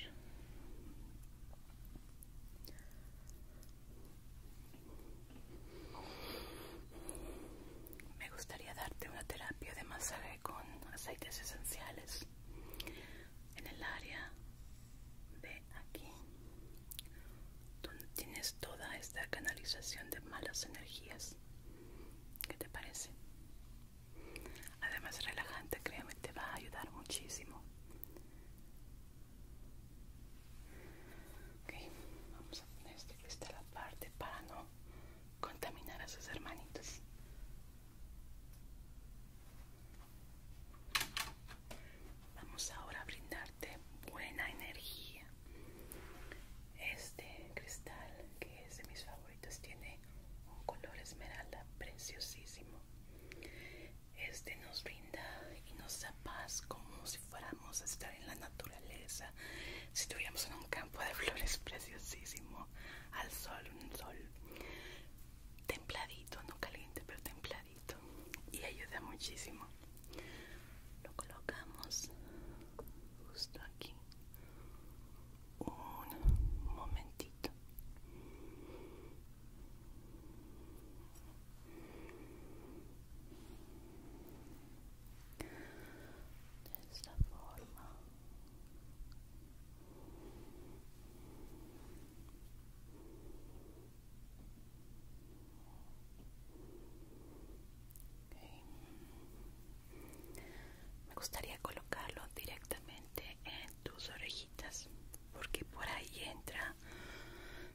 Me gustaría darte una terapia de masaje con aceites esenciales en el área Ve aquí, donde tienes toda esta canalización de malas energías. ¿Qué te parece? Además, relajante, créame te va a ayudar muchísimo. Ok, vamos a poner este la parte para no contaminar a sus hermanitos. Vamos ahora a brindarte buena energía. Este cristal, que es de mis favoritos, tiene un color esmeralda preciosísimo. Este nos brinda y nos da paz como si fuéramos a estar en la naturaleza, si estuviéramos en un campo de flores preciosísimo, al sol, un sol templadito, no caliente, pero templadito. Y ayuda muchísimo. Lo colocamos justo aquí. Un momentito. De esta forma. Me gustaría colocarlo directamente en tus orejitas porque por ahí entra,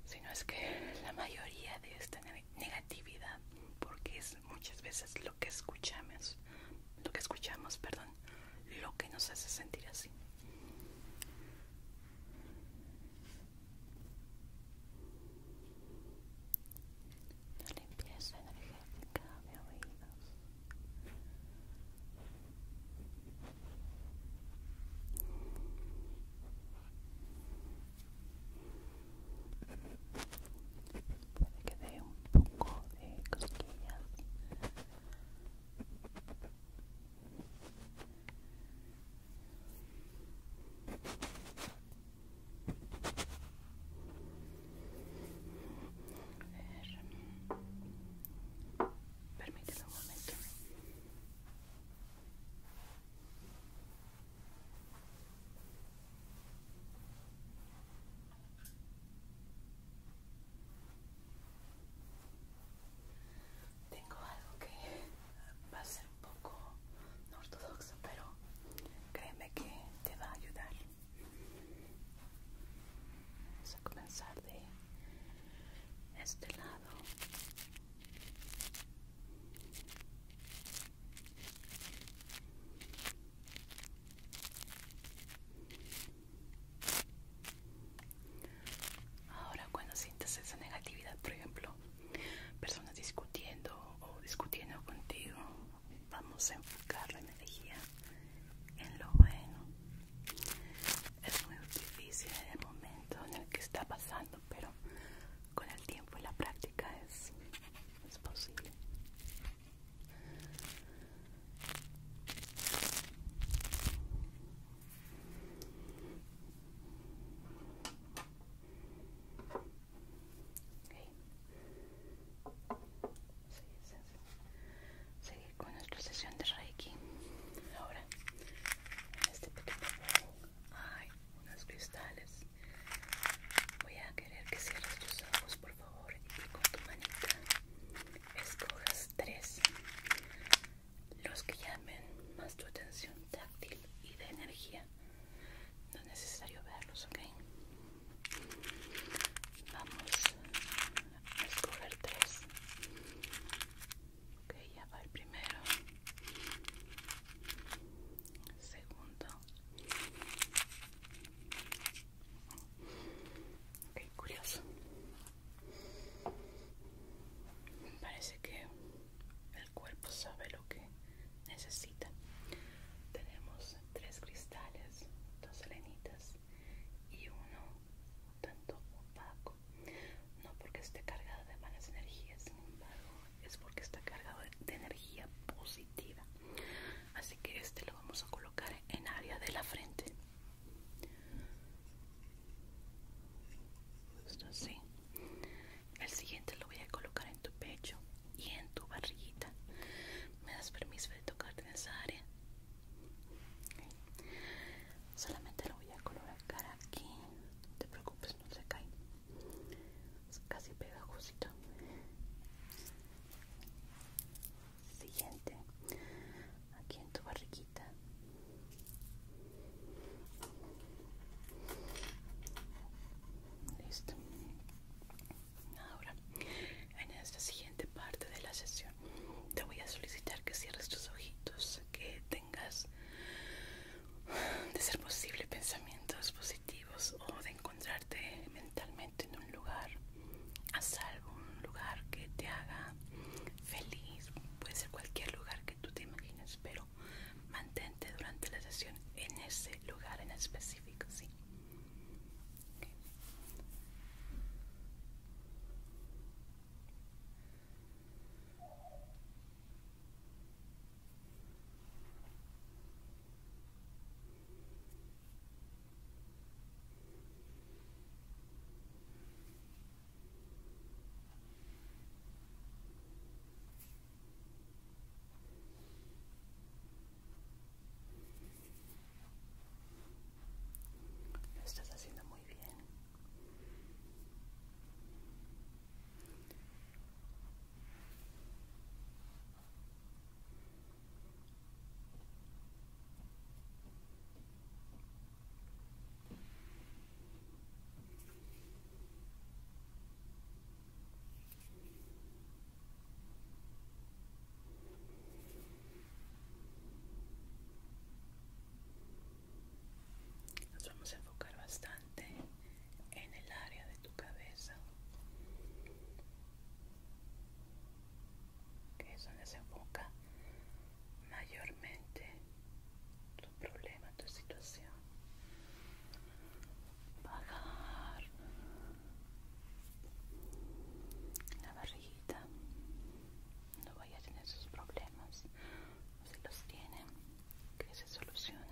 si no es que la mayoría de esta negatividad, porque es muchas veces lo que escuchamos, lo que escuchamos, perdón, lo que nos hace sentir así. La limpieza energética de oídos. Puede que dé un poco de cosquillas. A Permíteme un momento. Tengo algo que va a ser un poco no ortodoxo, pero créeme que te va a ayudar. Vamos a comenzar de este lado. Ahora cuando sientas esa negatividad, por ejemplo, personas discutiendo o discutiendo contigo, vamos a enfocar la energía en lo bueno. Es muy difícil en el momento en el que está pasando, pero con el tiempo y la práctica es posible. Okay. Seguir con nuestra sesión de Reiki. Ahora, en este pequeño bol hay unos cristales. Voy a querer que cierres tus ojos, por favor, y que con tu manita escojas tres los que llamen más tu atención táctil y de energía. No es necesario verlos, ¿ok? Vamos a escoger tres. Ok, ya va el primero. Segundo. Ok, curioso. Parece que el cuerpo sabe lo que necesita. Tenemos tres cristales, dos selenitas y uno un tanto opaco. No porque esté cargado de malas energías, sin embargo, es porque está cargado de energía positiva. Así que este lo vamos a colocar en área de la frente. Justo así. El siguiente lo voy a colocar en tu pecho y en tu barriguita. ¿Me das permiso de tocarte en esa área? Solamente lo voy a colocar aquí. No te preocupes, no se cae. Es casi pegajosito. Siguiente aquí en tu barriguita listo ahora en esta siguiente parte de la sesión te voy a solicitar que cierres tus ojitos que tengas de ser posible pensamientos positivos o de encontrarte mentalmente en un lugar a salvo un lugar que te haga feliz, puede ser cualquier lugar que tú te imagines, pero mantente durante la sesión en ese lugar en específico, ¿sí? Lo estás haciendo muy bien. Nos vamos a enfocar bastante en el área de tu cabeza, que es donde se enfoca mayormente tu problema, tu situación. pagar la barriguita. No vaya a tener sus problemas. Si los tienen, que se solucionen.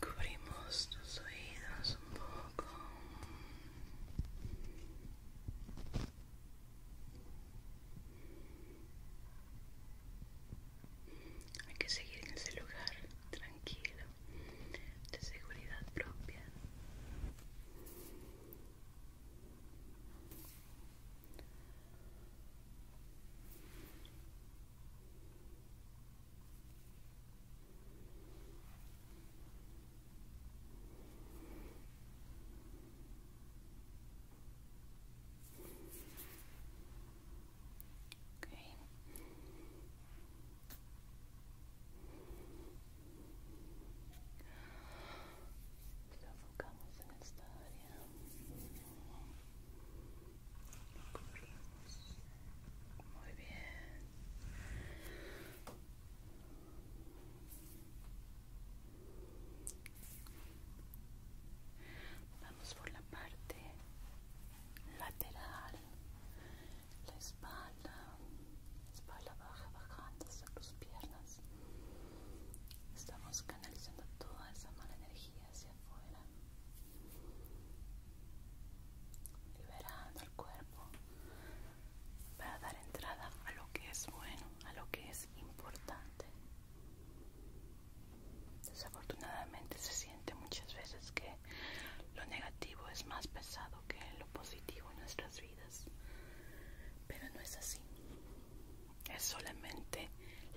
Cubrimos tus oídos un poco. Hay que seguir en ese lugar tranquilo, de seguridad propia. Okay. Lo enfocamos en esta área. Muy bien. Vamos por la parte lateral, la espalda, la espalda baja, bajando hasta tus piernas. Estamos canalizando toda esa mala energía liberando el cuerpo para dar entrada a lo que es bueno, a lo que es importante. Desafortunadamente se siente muchas veces que lo negativo es más pesado que lo positivo en nuestras vidas, pero no es así. Es solamente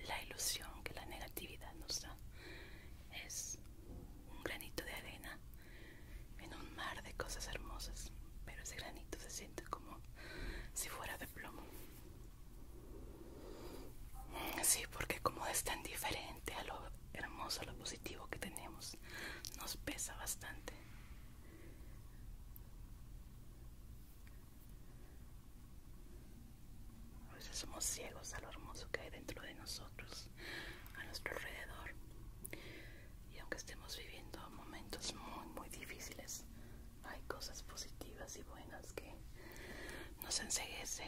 la ilusión que la negatividad nos da, es un granito de arena en un mar de cosas hermosas, pero ese granito se siente como si fuera de plomo. Sí, porque como es tan diferente a lo hermoso, a lo positivo que tenemos, nos pesa bastante. A veces somos ciegos a lo hermoso que hay dentro de nosotros, a nuestro alrededor. Y aunque estemos viviendo momentos muy, muy difíciles, hay cosas positivas y buenas que nos enseguece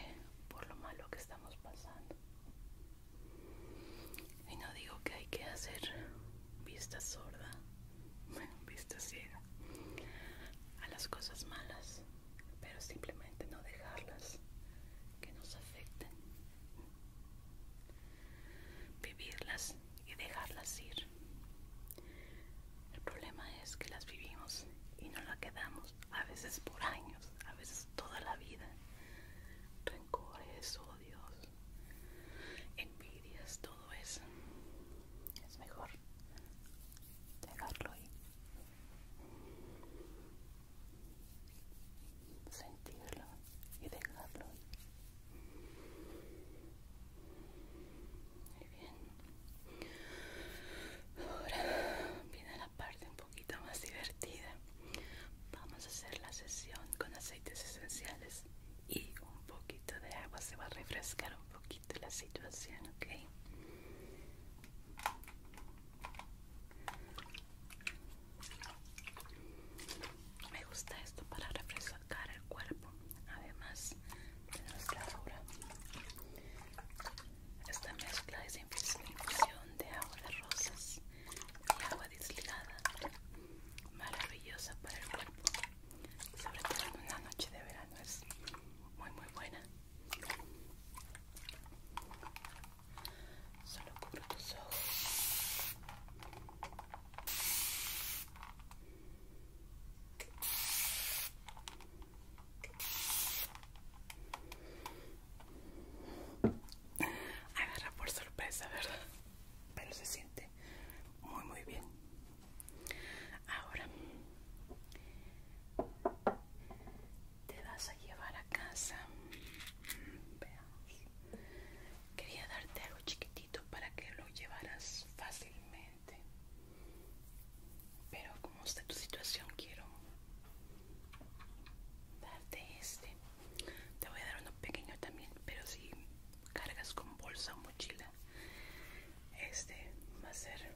por lo malo que estamos pasando. Y no digo que hay que hacer vista sorda, bueno, vista ciega a las cosas malas, pero simplemente no dejarlas que nos afecten, vivirlas y dejarlas ir. El problema es que las vivimos y no las quedamos, a veces por años, a veces toda la vida. Rencores, odios, envidias, todo eso. Es mejor dejarlo ir sentirlo y dejarlo muy bien ahora viene la parte un poquito más divertida vamos a hacer la sesión con aceites esenciales y un poquito de agua se va a refrescar un poquito la situación ok me gusta esto para refrescar el cuerpo. Además de nuestra aura. Esta mezcla es infusión de agua de rosas y agua desligada. Maravillosa para el cuerpo. Sobre todo en una noche de verano es muy muy buena. Solo cubro tus ojos. Agarra por sorpresa, ¿verdad? Pero se siente muy, muy bien. Ahora te vas a llevar a casa. Quería darte algo chiquitito para que lo llevaras fácilmente. Pero como está tu situación, quiero darte este. Te voy a dar uno pequeño también, pero si cargas con bolsa o mochila, este va a ser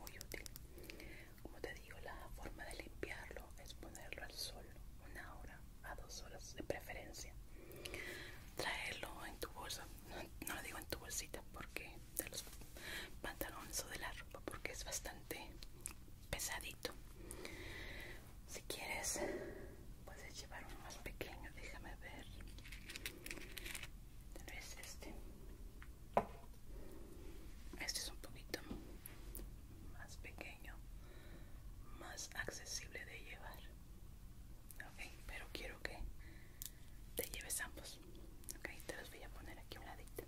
muy útil como te digo la forma de limpiarlo es ponerlo al sol una hora a dos horas de preferencia traerlo en tu bolsa no, lo digo en tu bolsita porque de los pantalones o de la ropa porque es bastante pesadito si quieres puedes llevar uno más pequeño déjame ver tal este este es un poquito más pequeño, más accesible de llevar. pero quiero que te lleves ambos. te los voy a poner aquí a un ladito.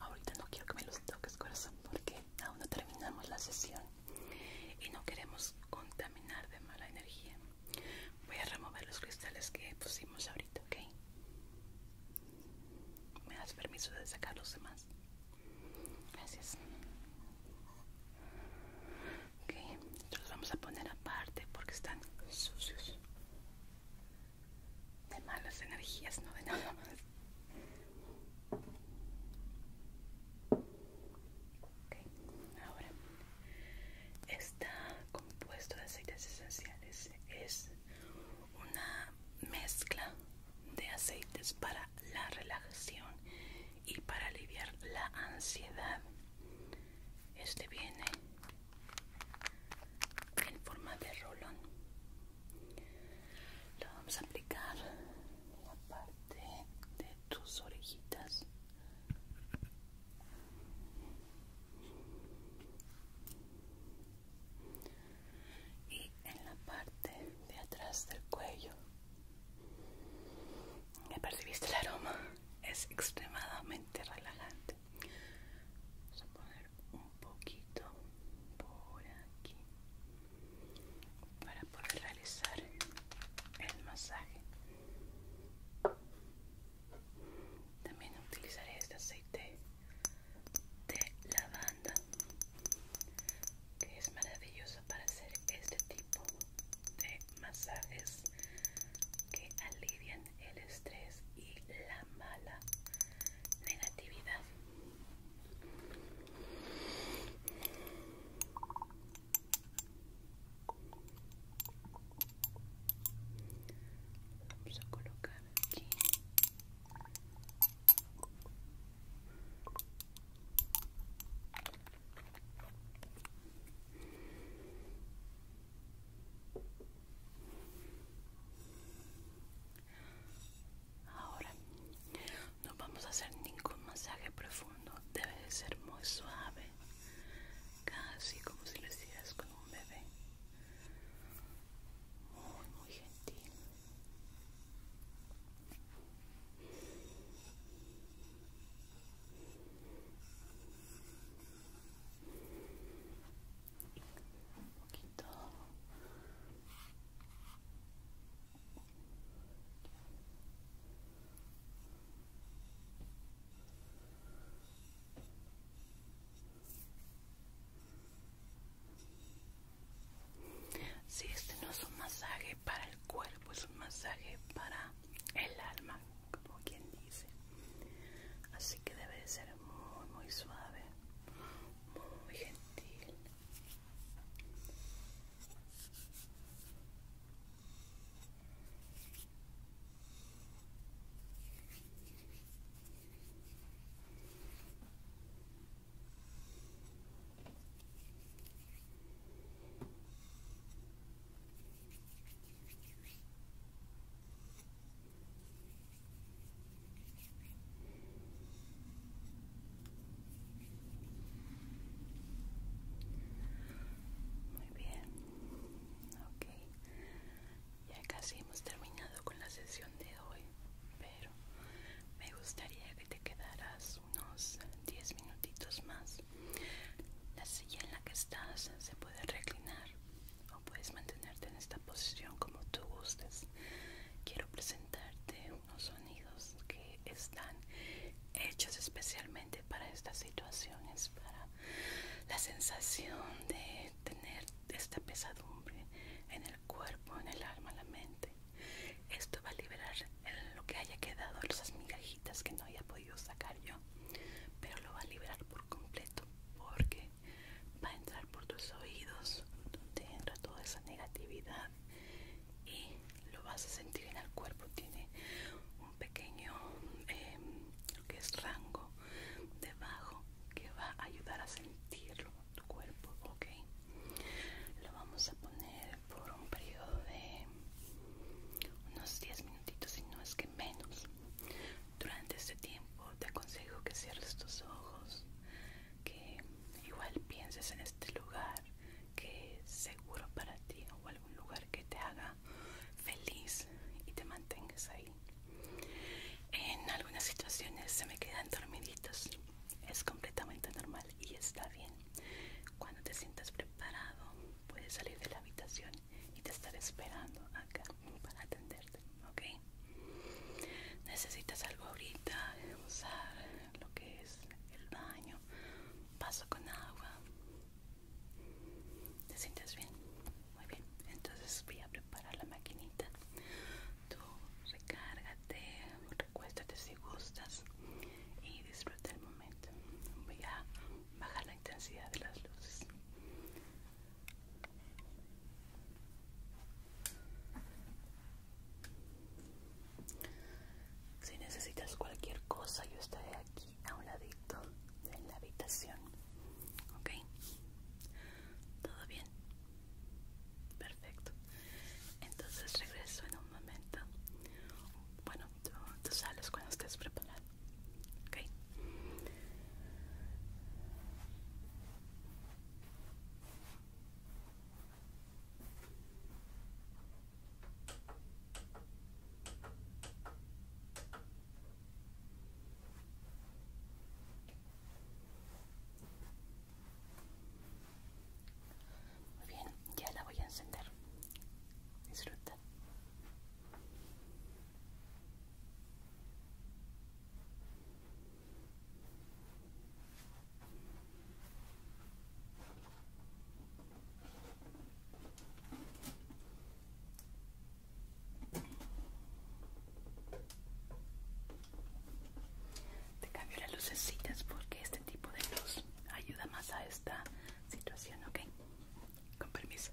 Ahorita no quiero que me los toques, corazón, porque aún no terminamos la sesión y no queremos contaminar de mala energía. Voy a remover los cristales que pusimos ahorita, ¿ok? ¿Me das permiso de sacar los demás? Gracias. Ok, los vamos a poner aparte porque están sucios. De malas energías, no de nada más. Ok, ahora esta compuesto de aceites esenciales es una mezcla de aceites para la relajación y para aliviar la ansiedad. Este viene en forma de rolón. Lo vamos a aplicar en la parte de tus orejitas y en la parte de atrás del cuello ¿Me percibiste el aroma es extremadamente relajante vamos a poner un poquito por aquí para poder realizar el masaje también utilizaré este aceite de lavanda que es maravilloso para hacer este tipo de masajes que alivian el estrés y la mala negatividad. Vamos a colocar aquí. Ahora no vamos a hacer ningún masaje profundo, debe de ser muy suave, casi como si lo hicieras con un bebé muy muy gentil un poquito muy si este no es un masaje para el cuerpo, es un masaje para el alma, como quien dice. Así que debe de ser muy, muy suave, muy gentil. Muy bien, okay ya casi hemos terminado con la sesión de hoy, pero me gustaría que te quedaras unos 10 minutitos más. La silla en la que estás se puede reclinar o puedes mantenerte en esta posición como tú gustes. Quiero presentarte unos sonidos que están hechos especialmente para estas situaciones, para la sensación de tener esta pesadumbre en el cuerpo, en el alma, en la mente. Esto va a liberar lo que haya quedado, esas migajitas que no haya podido sacar yo, pero lo va a liberar por completo porque va a entrar por tus oídos, donde entra toda esa negatividad y lo vas a sentir en el cuerpo. Tiene un pequeño em, que es rango debajo que va a ayudar a sentirlo tu cuerpo ok lo vamos a poner por un periodo de unos 10 minutitos si no es que menos durante este tiempo te aconsejo que cierres tus ojos que igual pienses en este lugar que es seguro para ti o algún lugar que te haga feliz y te mantengas ahí en algunas situaciones se me quedan dormiditos. Es completamente normal y está bien. Cuando te sientas preparado, puedes salir de la habitación y te estaré esperando acá para atenderte, ¿ok? Necesitas algo ahorita, usar lo que es el baño, Paso con agua. ¿Te sientes bien? Muy bien, entonces voy a preparar la maquinita. Tú recárgate, recuéstate si gustas y disfruta el momento. Voy a bajar la intensidad de las luces. Si necesitas cualquier cosa, yo estaré aquí a un ladito en la habitación Okay, ¿Todo bien? Perfecto. Entonces regreso en un momento. Bueno, tú, sales cuando estés preparado. ¿Ok? Muy bien, ya la voy a encender. Disfruta. Te cambio las lucecitas porque este tipo de luz ayuda más a esta situación, ¿ok? Con permiso.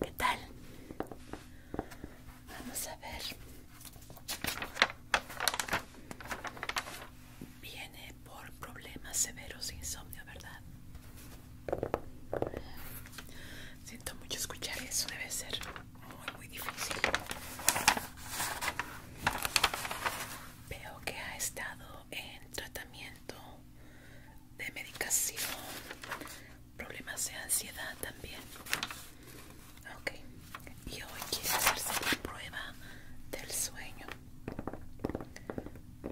¿Qué tal? Vamos a ver. Viene por problemas severos de insomnio, ¿verdad? Siento mucho escuchar eso, debe ser muy, muy difícil. Veo que ha estado en tratamiento de medicación, problemas de ansiedad también. Ok, y hoy quiere hacerse la prueba del sueño.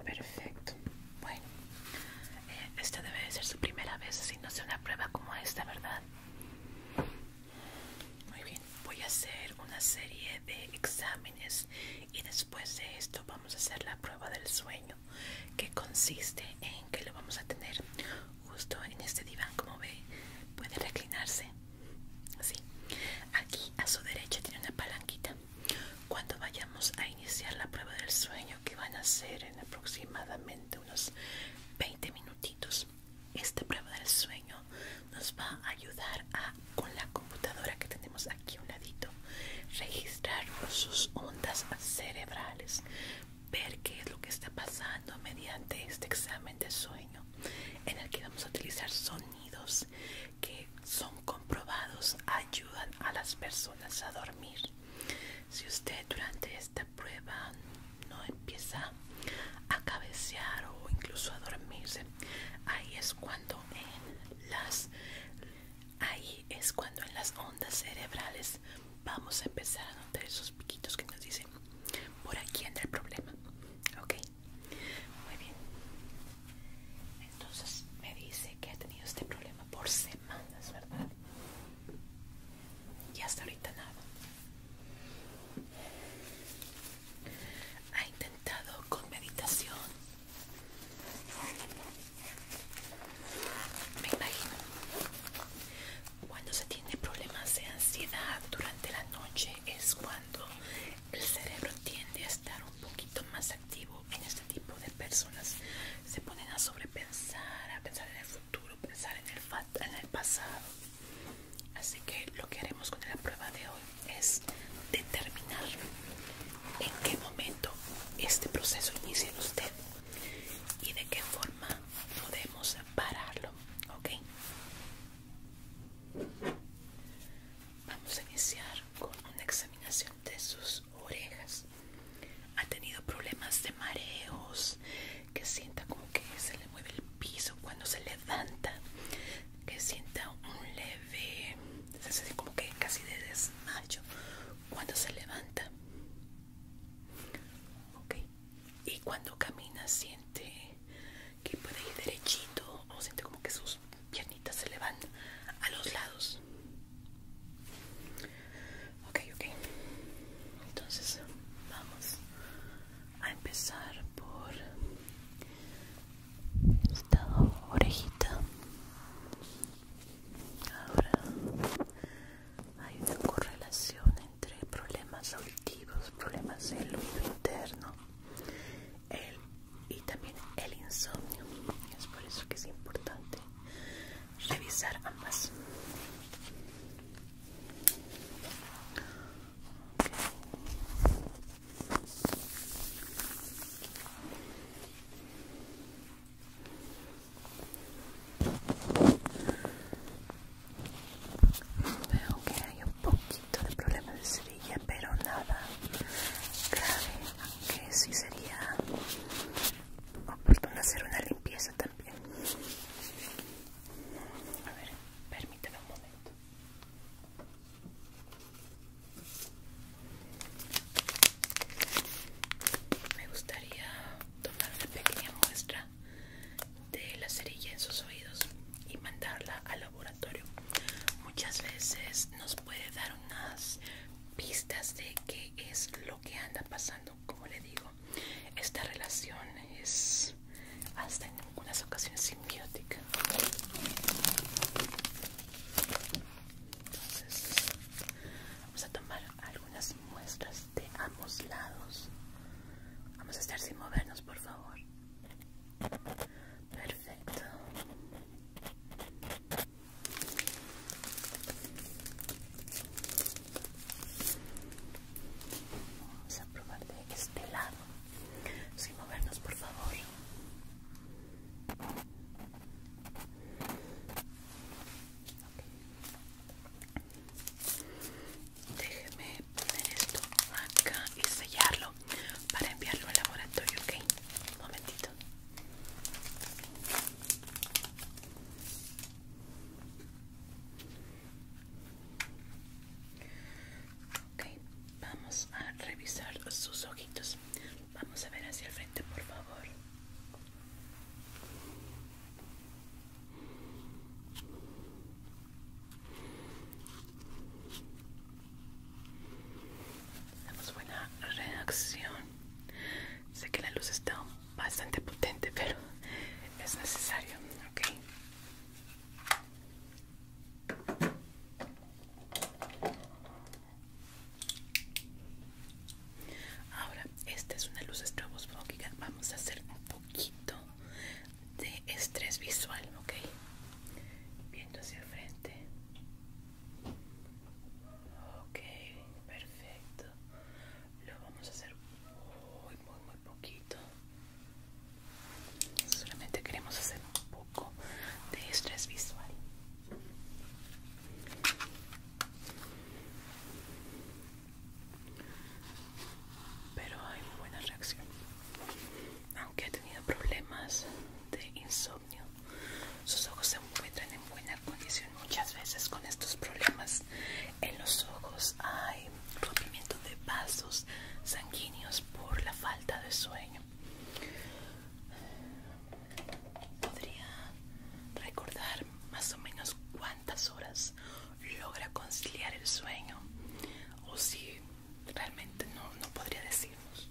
Perfecto. Bueno, eh, esta debe de ser su primera vez no sea una prueba como esta, ¿verdad? Muy bien, voy a hacer una serie de exámenes y después de esto vamos a hacer la prueba del sueño, que consiste en que lo vamos a tener justo en este diván, como ve, puede reclinarse. Así. Aquí a su derecha tiene una palanquita. Cuando vayamos a iniciar la prueba del sueño, que van a hacer en aproximadamente unos 20 minutitos, esta prueba del sueño nos va a ayudar a, con la computadora que tenemos aquí a un ladito, registrar sus ondas cerebrales, ver qué es lo que está pasando mediante este examen de sueño en el que vamos a utilizar sonidos que son comprobados ayudan a las personas a dormir. Si usted durante esta prueba no empieza a cabecear o incluso a dormirse, ahí es cuando en las ahí es cuando en las ondas cerebrales vamos a empezar a notar esos piquitos que nos dicen por aquí anda el problema. Ok, muy bien. Entonces me dice que ha tenido este problema por semanas, ¿verdad? Y hasta ahorita nada. Ha intentado con meditación. Me imagino. Cuando se tiene problemas de ansiedad durante la noche es cuando el cerebro tiende a estar un poquito más en este tipo de personas. Se ponen a sobrepensar, a pensar en el futuro, pensar en el, en el pasado. Así que lo que haremos con la prueba de hoy es determinar en qué momento este proceso inicia en usted y de qué forma podemos pararlo. ¿Ok? Vamos a iniciar con una examinación de sus orejas. Ha tenido problemas de mareos, que sienta como que se le mueve el piso cuando se levanta, que sienta un leve, como que casi de desmayo cuando se levanta. Okay. Y cuando camina siente que puede ir derechito o siente como que sus piernita se le van a los lados. Ok, ok. Entonces vamos a empezar por esta orejita. Ahora hay una correlación entre problemas auditivos, problemas del oído interno, el y también el insomnio. Es por eso que es importante revisar ambas. Veo que hay un poquito de problema de cerilla, pero nada grave que sí sería oportuno hacer una limpieza también. A ver, permíteme un momento. Me gustaría tomar una pequeña muestra de la cerilla en sus oídos y mandarla al laboratorio. Muchas veces nos puede dar unas pistas de qué es lo que anda pasando. Como le digo, esta relación es hasta en algunas ocasiones simbiótica. Entonces, vamos a tomar algunas muestras de ambos lados. Vamos a estar sin movernos, por favor. Perfecto. Vamos a probar de este lado. Sin movernos, por favor. Déjeme poner esto acá y sellarlo para enviarlo al laboratorio, ¿ok? Un momentito. Ok, vamos a revisar sus ojitos. Vamos a ver hacia el frente, por favor tenemos buena reacción sé que la luz está bastante potente pero es necesario ok ahora esta es una luz estroboscópica. vamos a hacer un poquito de estrés visual ok viendo hacia el frente Ok, perfecto. Lo vamos a hacer muy, muy, muy poquito. Solamente queremos hacer un poco de estrés visual. Pero hay buena reacción. Aunque he tenido problemas de insomnio sus ojos se encuentran en buena condición muchas veces con estos problemas en los ojos hay rompimiento de vasos sanguíneos por la falta de sueño podría recordar más o menos cuántas horas logra conciliar el sueño o si realmente no, no podría decirnos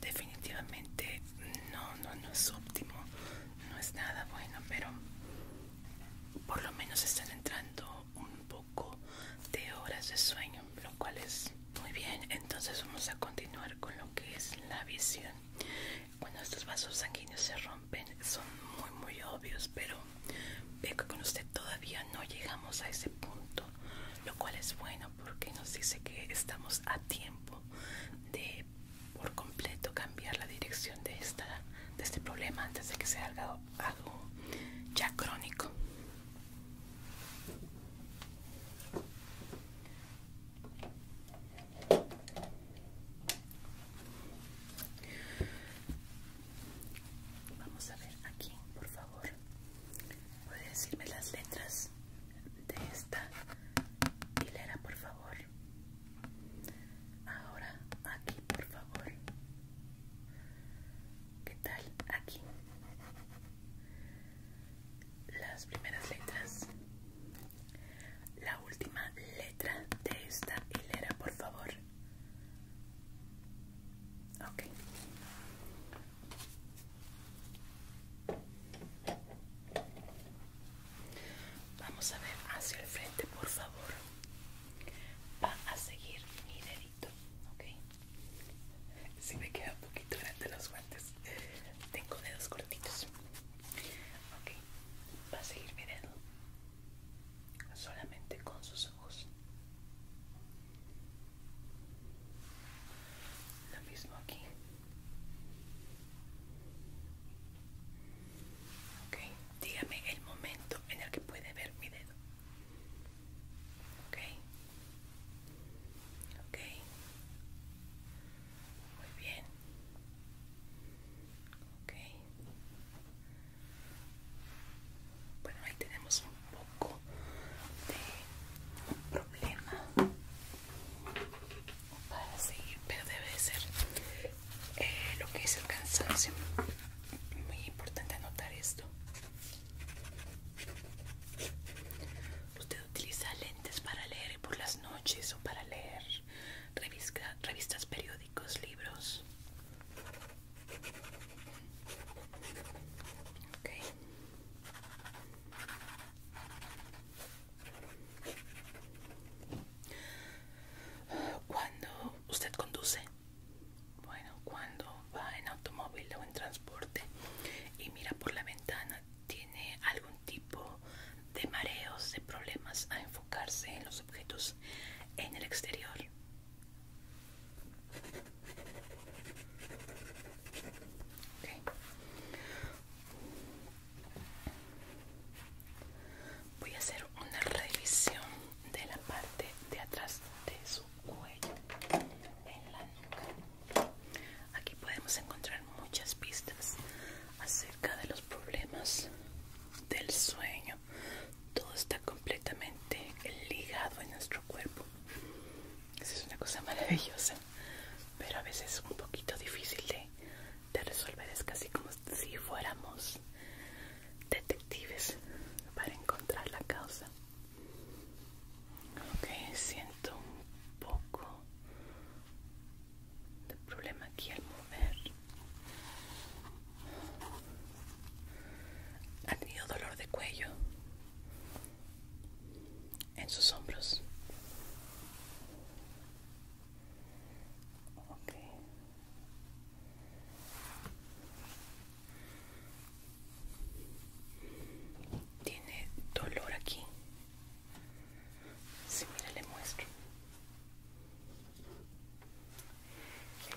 Definitivamente no, no, no es óptimo, no es nada bueno, pero por lo menos están entrando un poco de horas de sueño, lo cual es muy bien. Entonces vamos a continuar con lo que es la visión. Cuando estos vasos sanguíneos se rompen son muy muy obvios, pero Veo que con usted todavía no llegamos a ese punto, lo cual es bueno porque nos dice que estamos a tiempo de por completo cambiar la dirección de, esta, de este problema antes de que sea algo, algo ya crónico. Vamos a ver aquí, por favor puede decirme las letras de esta hilera por favor ahora aquí por favor ¿Qué tal? Aquí. Las primeras letras. La última letra de esta hilera, por favor. Ok. Vamos a ver hacia el frente, por favor. Va a seguir mi dedito, ¿ok? Si me queda un poquito grande los guantes, tengo dedos cortitos. Ok, va a seguir mi dedo solamente con sus ojos. Lo mismo aquí. Ok, dígame el momento en el que puede ver mi dedo. Ok. Ok. Muy bien. Ok. Bueno, ahí tenemos un poco de problema para seguir, pero debe ser eh, lo que es el cansancio. Muy importante anotar esto. Usted utiliza lentes para leer por las noches o para leer revistas, revistas periódicos, libros. Cuando usted conduce, bueno, cuando va en automóvil o en transporte y mira por la ventana, tiene algún tipo de mareos, de problemas a enfocarse en los objetos en el exterior. Voy a hacer una revisión de la parte de atrás de su cuello en la Aquí podemos encontrar muchas pistas acerca de los problemas del sueño, todo está completamente ligado en nuestro cuerpo. eso es una cosa maravillosa, pero a veces es un poquito difícil de, de resolver. Es casi como si fuéramos detectives para encontrar la causa. Ok, siento un poco de problema aquí al mover. ¿Ha tenido dolor de cuello? en sus hombros. Tiene dolor aquí. Si mira, le muestro.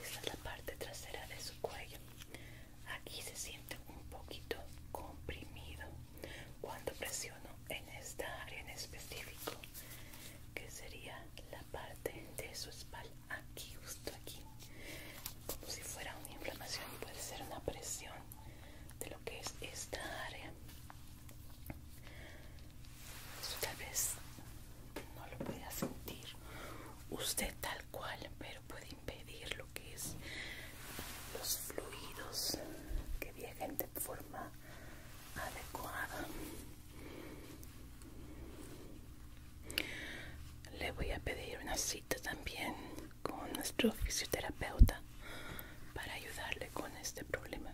Esta es la parte trasera de su cuello aquí se siente un poquito comprimido cuando presiono en esta área en específico que sería la parte de su espalda aquí justo aquí como si fuera una inflamación puede ser una presión de lo que es esta área eso tal vez no lo pueda sentir usted tal cual pero puede pedir lo que es los fluidos que viajen de forma adecuada le voy a pedir una cita también con nuestro fisioterapeuta para ayudarle con este problema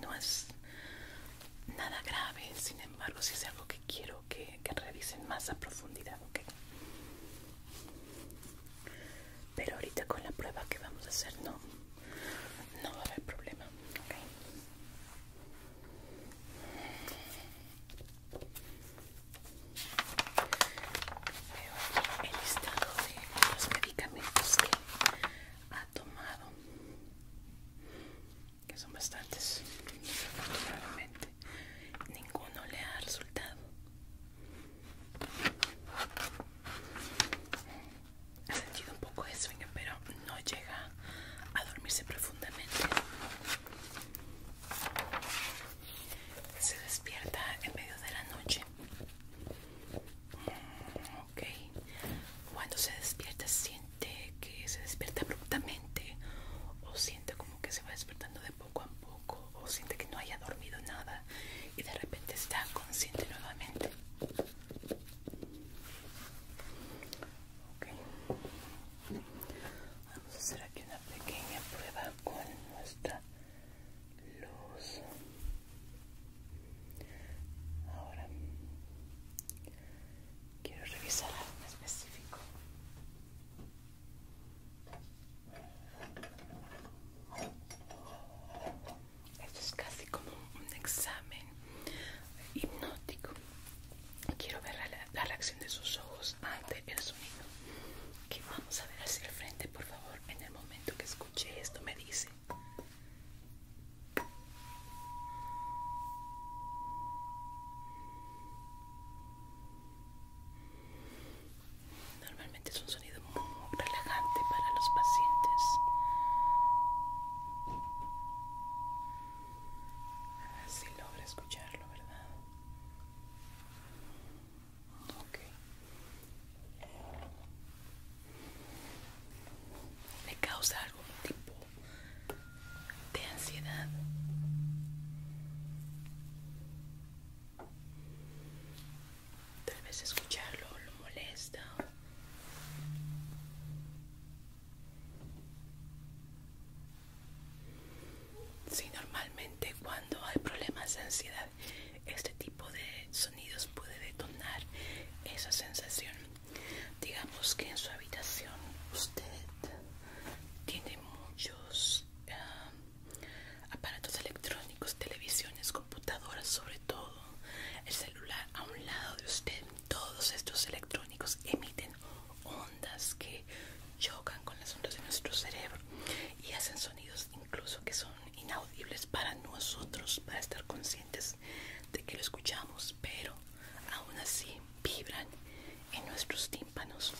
no es nada grave sin embargo si es algo que quiero que, revisen más a profundidad, ¿ok? Pero ahorita con la prueba que vamos a hacer no, no va a haber problema, ¿ok? Veo el listado de los medicamentos que ha tomado, que son bastantes, afortunadamente ninguno le ha resultado ha sentido un poco de sueño pero no llega a dormirse profundamente se despierta en medio de la noche ok cuando se despierta siente que se despierta abruptamente o siente como que se va despertando de poco a poco o siente que no haya dormido nada y de repente está consciente nuevamente. ok Vamos a hacer aquí una pequeña prueba con nuestra luz. Ahora quiero revisar algo específico. Esto es casi como un examen hipnótico. Quiero ver la, reacción de sus ojos ante el sonido. Que vamos a ver hacia el frente, por favor. En el momento que escuche esto, me dice. Normalmente es un sonido muy relajante para los pacientes. Así logra escucharlo, ¿verdad? Ok. Me causa algún tipo de ansiedad? Tal vez escucharlo lo molesta. Si, normalmente cuando hay problemas de ansiedad, este tipo de sonidos puede detonar esa sensación. Digamos que en su habitación usted tiene muchos ah, Aparatos electrónicos, televisiones, computadoras, sobre todo el celular a un lado de usted. Todos estos electrónicos emiten ondas que chocan con las ondas de nuestro cerebro y hacen sonidos incluso que son inaudibles para nosotros, para estar conscientes de que lo escuchamos, pero aún así vibran en nuestros tímpanos,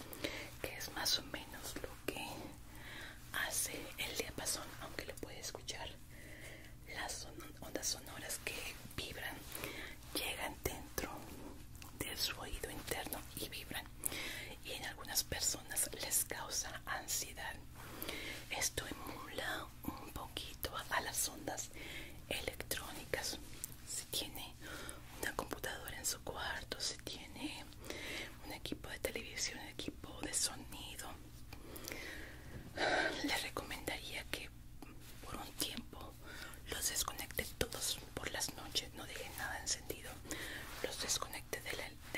que es más o menos lo que hace el diapasón, aunque lo puede escuchar, las ondas sonoras que vibran llegan dentro de su oído interno y vibran y en algunas personas les causa ansiedad. Esto emula un poquito a las ondas electrónicas. Si tiene una computadora en su cuarto, si tiene un equipo de televisión, un equipo de sonido. le recomendaría que por un tiempo los desconecte todos por las noches, no dejen nada encendido. Los desconecte de,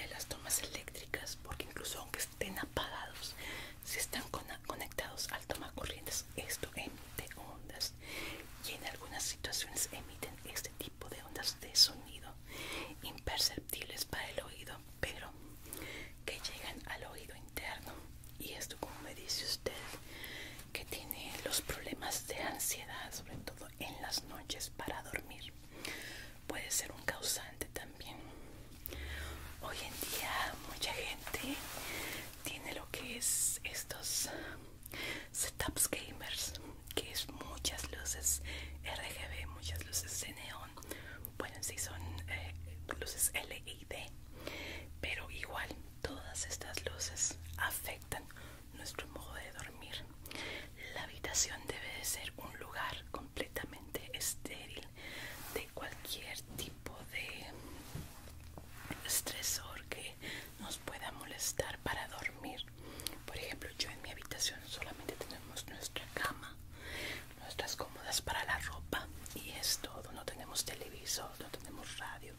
las tomas eléctricas porque incluso aunque estén apagados, si están conectados al toma corrientes, esto emite ondas y en algunas situaciones emiten este tipo de ondas de sonido imperceptibles para el oído, pero que llegan al oído interno. Y esto, como me dice usted, que tiene los problemas de ansiedad, sobre todo en las noches para dormir, puede ser un causante también. Hoy en día mucha gente tiene lo que es estos setups gamers que es muchas luces RGB muchas luces de neón bueno si son eh, luces LED pero igual todas estas luces afectan nuestro modo de dormir la habitación debe de ser un lugar completamente estéril de cualquier tipo de estresor que nos pueda molestar para dormir por ejemplo, yo en mi habitación solamente tenemos nuestra cama, nuestras cómodas para la ropa y es todo. No tenemos televisor, no tenemos radio.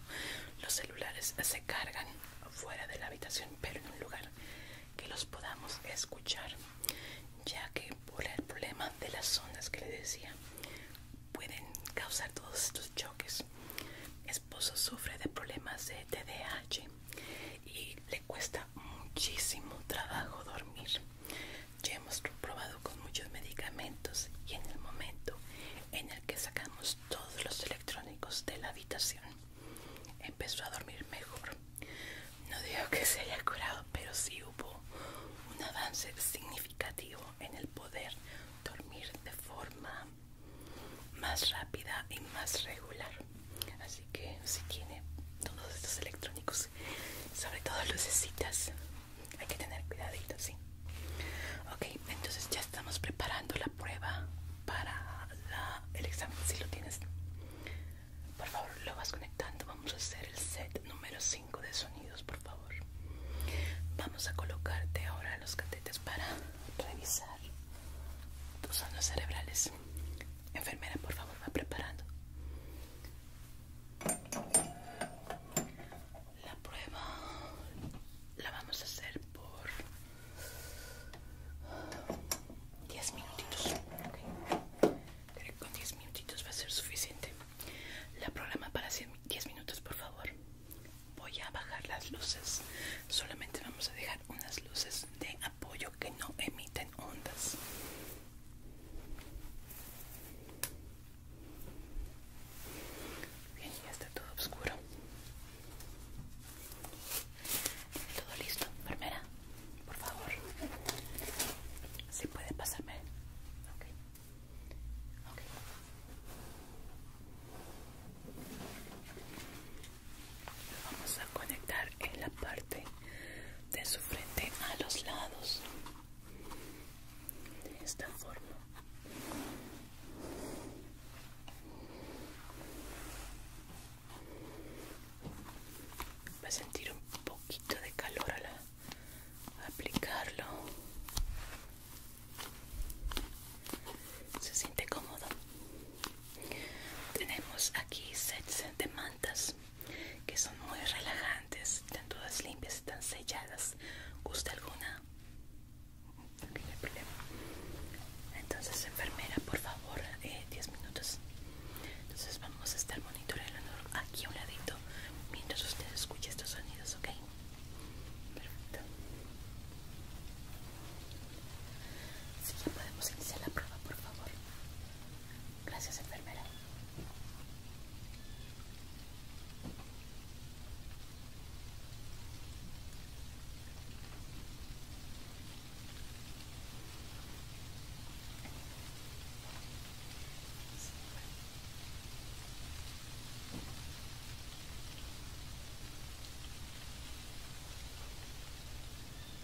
Los celulares se cargan fuera de la habitación, pero en un lugar que los podamos escuchar, ya que por el problema de las ondas que les decía pueden causar todos estos choques. Es esposo sufre de problemas de TDAH y le cuesta muchísimo trabajo dormir. Ya hemos probado con muchos medicamentos y en el momento en el que sacamos todos los electrónicos de la habitación, empezó a dormir mejor. No digo que se haya curado, pero sí hubo un avance significativo en el poder dormir de forma más rápida y más regular así que si tiene todos estos electrónicos sobre todo lucecitas hay que tener cuidadito sí ok entonces ya estamos preparando la prueba para el examen si lo tienes por favor lo vas conectando vamos a hacer el set número 5 de sonidos por favor vamos a colocarte ahora los catetes para revisar tus cerebrales. Enfermera, por favor, va preparando. La prueba la vamos a hacer por 10 minutitos. Creo que con 10 minutitos va a ser suficiente. La programa para 10 minutos, por favor. Voy a bajar las luces. Solamente vamos a dejar unas luces de apoyo que no emiten ondas. Bien, ya está todo oscuro. Todo listo, enfermera. Por favor. Si puede pasarme lo vamos a conectar en la parte de su frente a los lados de esta forma va a sentir un poquito de calor al aplicarlo se siente cómodo tenemos aquí sets de mantas que son muy relajantes, están todas limpias, están selladas. ¿Gusta alguna? no hay problema. Entonces, enfermera, por favor, 10 eh, minutos. Entonces, vamos a estar monitoreando aquí a un ladito mientras usted escuche estos sonidos, ¿ok? Perfecto. Si ya podemos iniciar la prueba, por favor. Gracias, enfermera.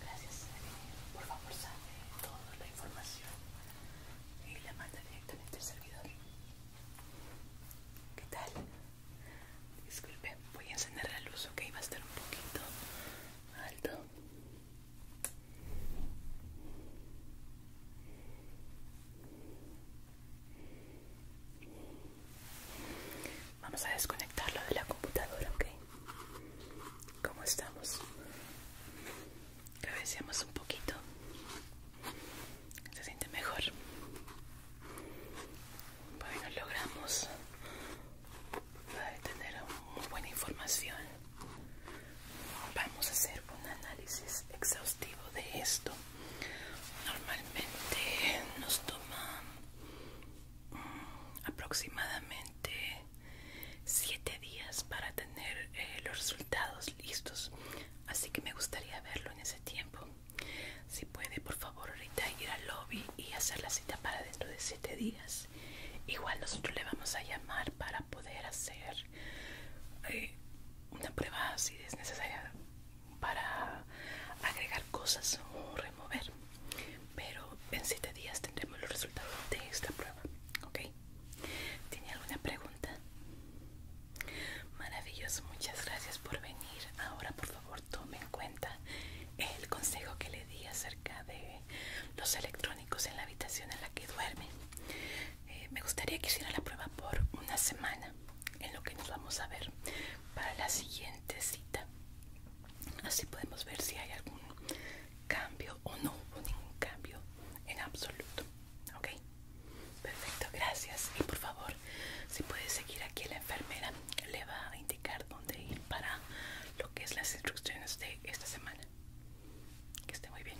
Gracias. Por favor, sale toda la información y la manda directamente al servidor. ¿Qué tal? Disculpe, voy a encender la luz, ok, va a estar un poquito alto. Vamos a desconectarlo de la computadora, ¿ok? ¿Cómo estamos? Cabeceamos un poquito. Se siente mejor. Bueno, logramos eh, tener muy buena información. Vamos a hacer un análisis exhaustivo de esto. Normalmente nos toma aproximadamente 7 días para tener eh, los resultados listos así que me gustaría verlo en ese tiempo si puede por favor ahorita ir al lobby y hacer la cita para dentro de 7 días igual nosotros le vamos a llamar para poder hacer eh, una prueba si es necesaria para agregar cosas o remover pero en 7 días tendremos los resultados de esta prueba, ¿ok? ¿Tiene alguna pregunta? Maravilloso, muchas gracias por venir. Ahora, por favor, tome en cuenta el consejo que le di acerca de los electrónicos en la habitación en la que duerme. Eh, me gustaría que hiciera la prueba por una semana, en lo que nos vamos a ver para la siguiente cita. Así podemos ver si hay algún cambio o no hubo ningún cambio en absoluto. ¿Ok? Perfecto, gracias. Y por favor, si puedes seguir aquí la enfermera, le va a indicar dónde ir para lo que es las instrucciones de esta semana. Que esté muy bien.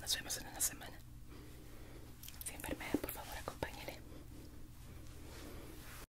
Nos vemos en una semana. Si enfermera, por favor, acompáñele.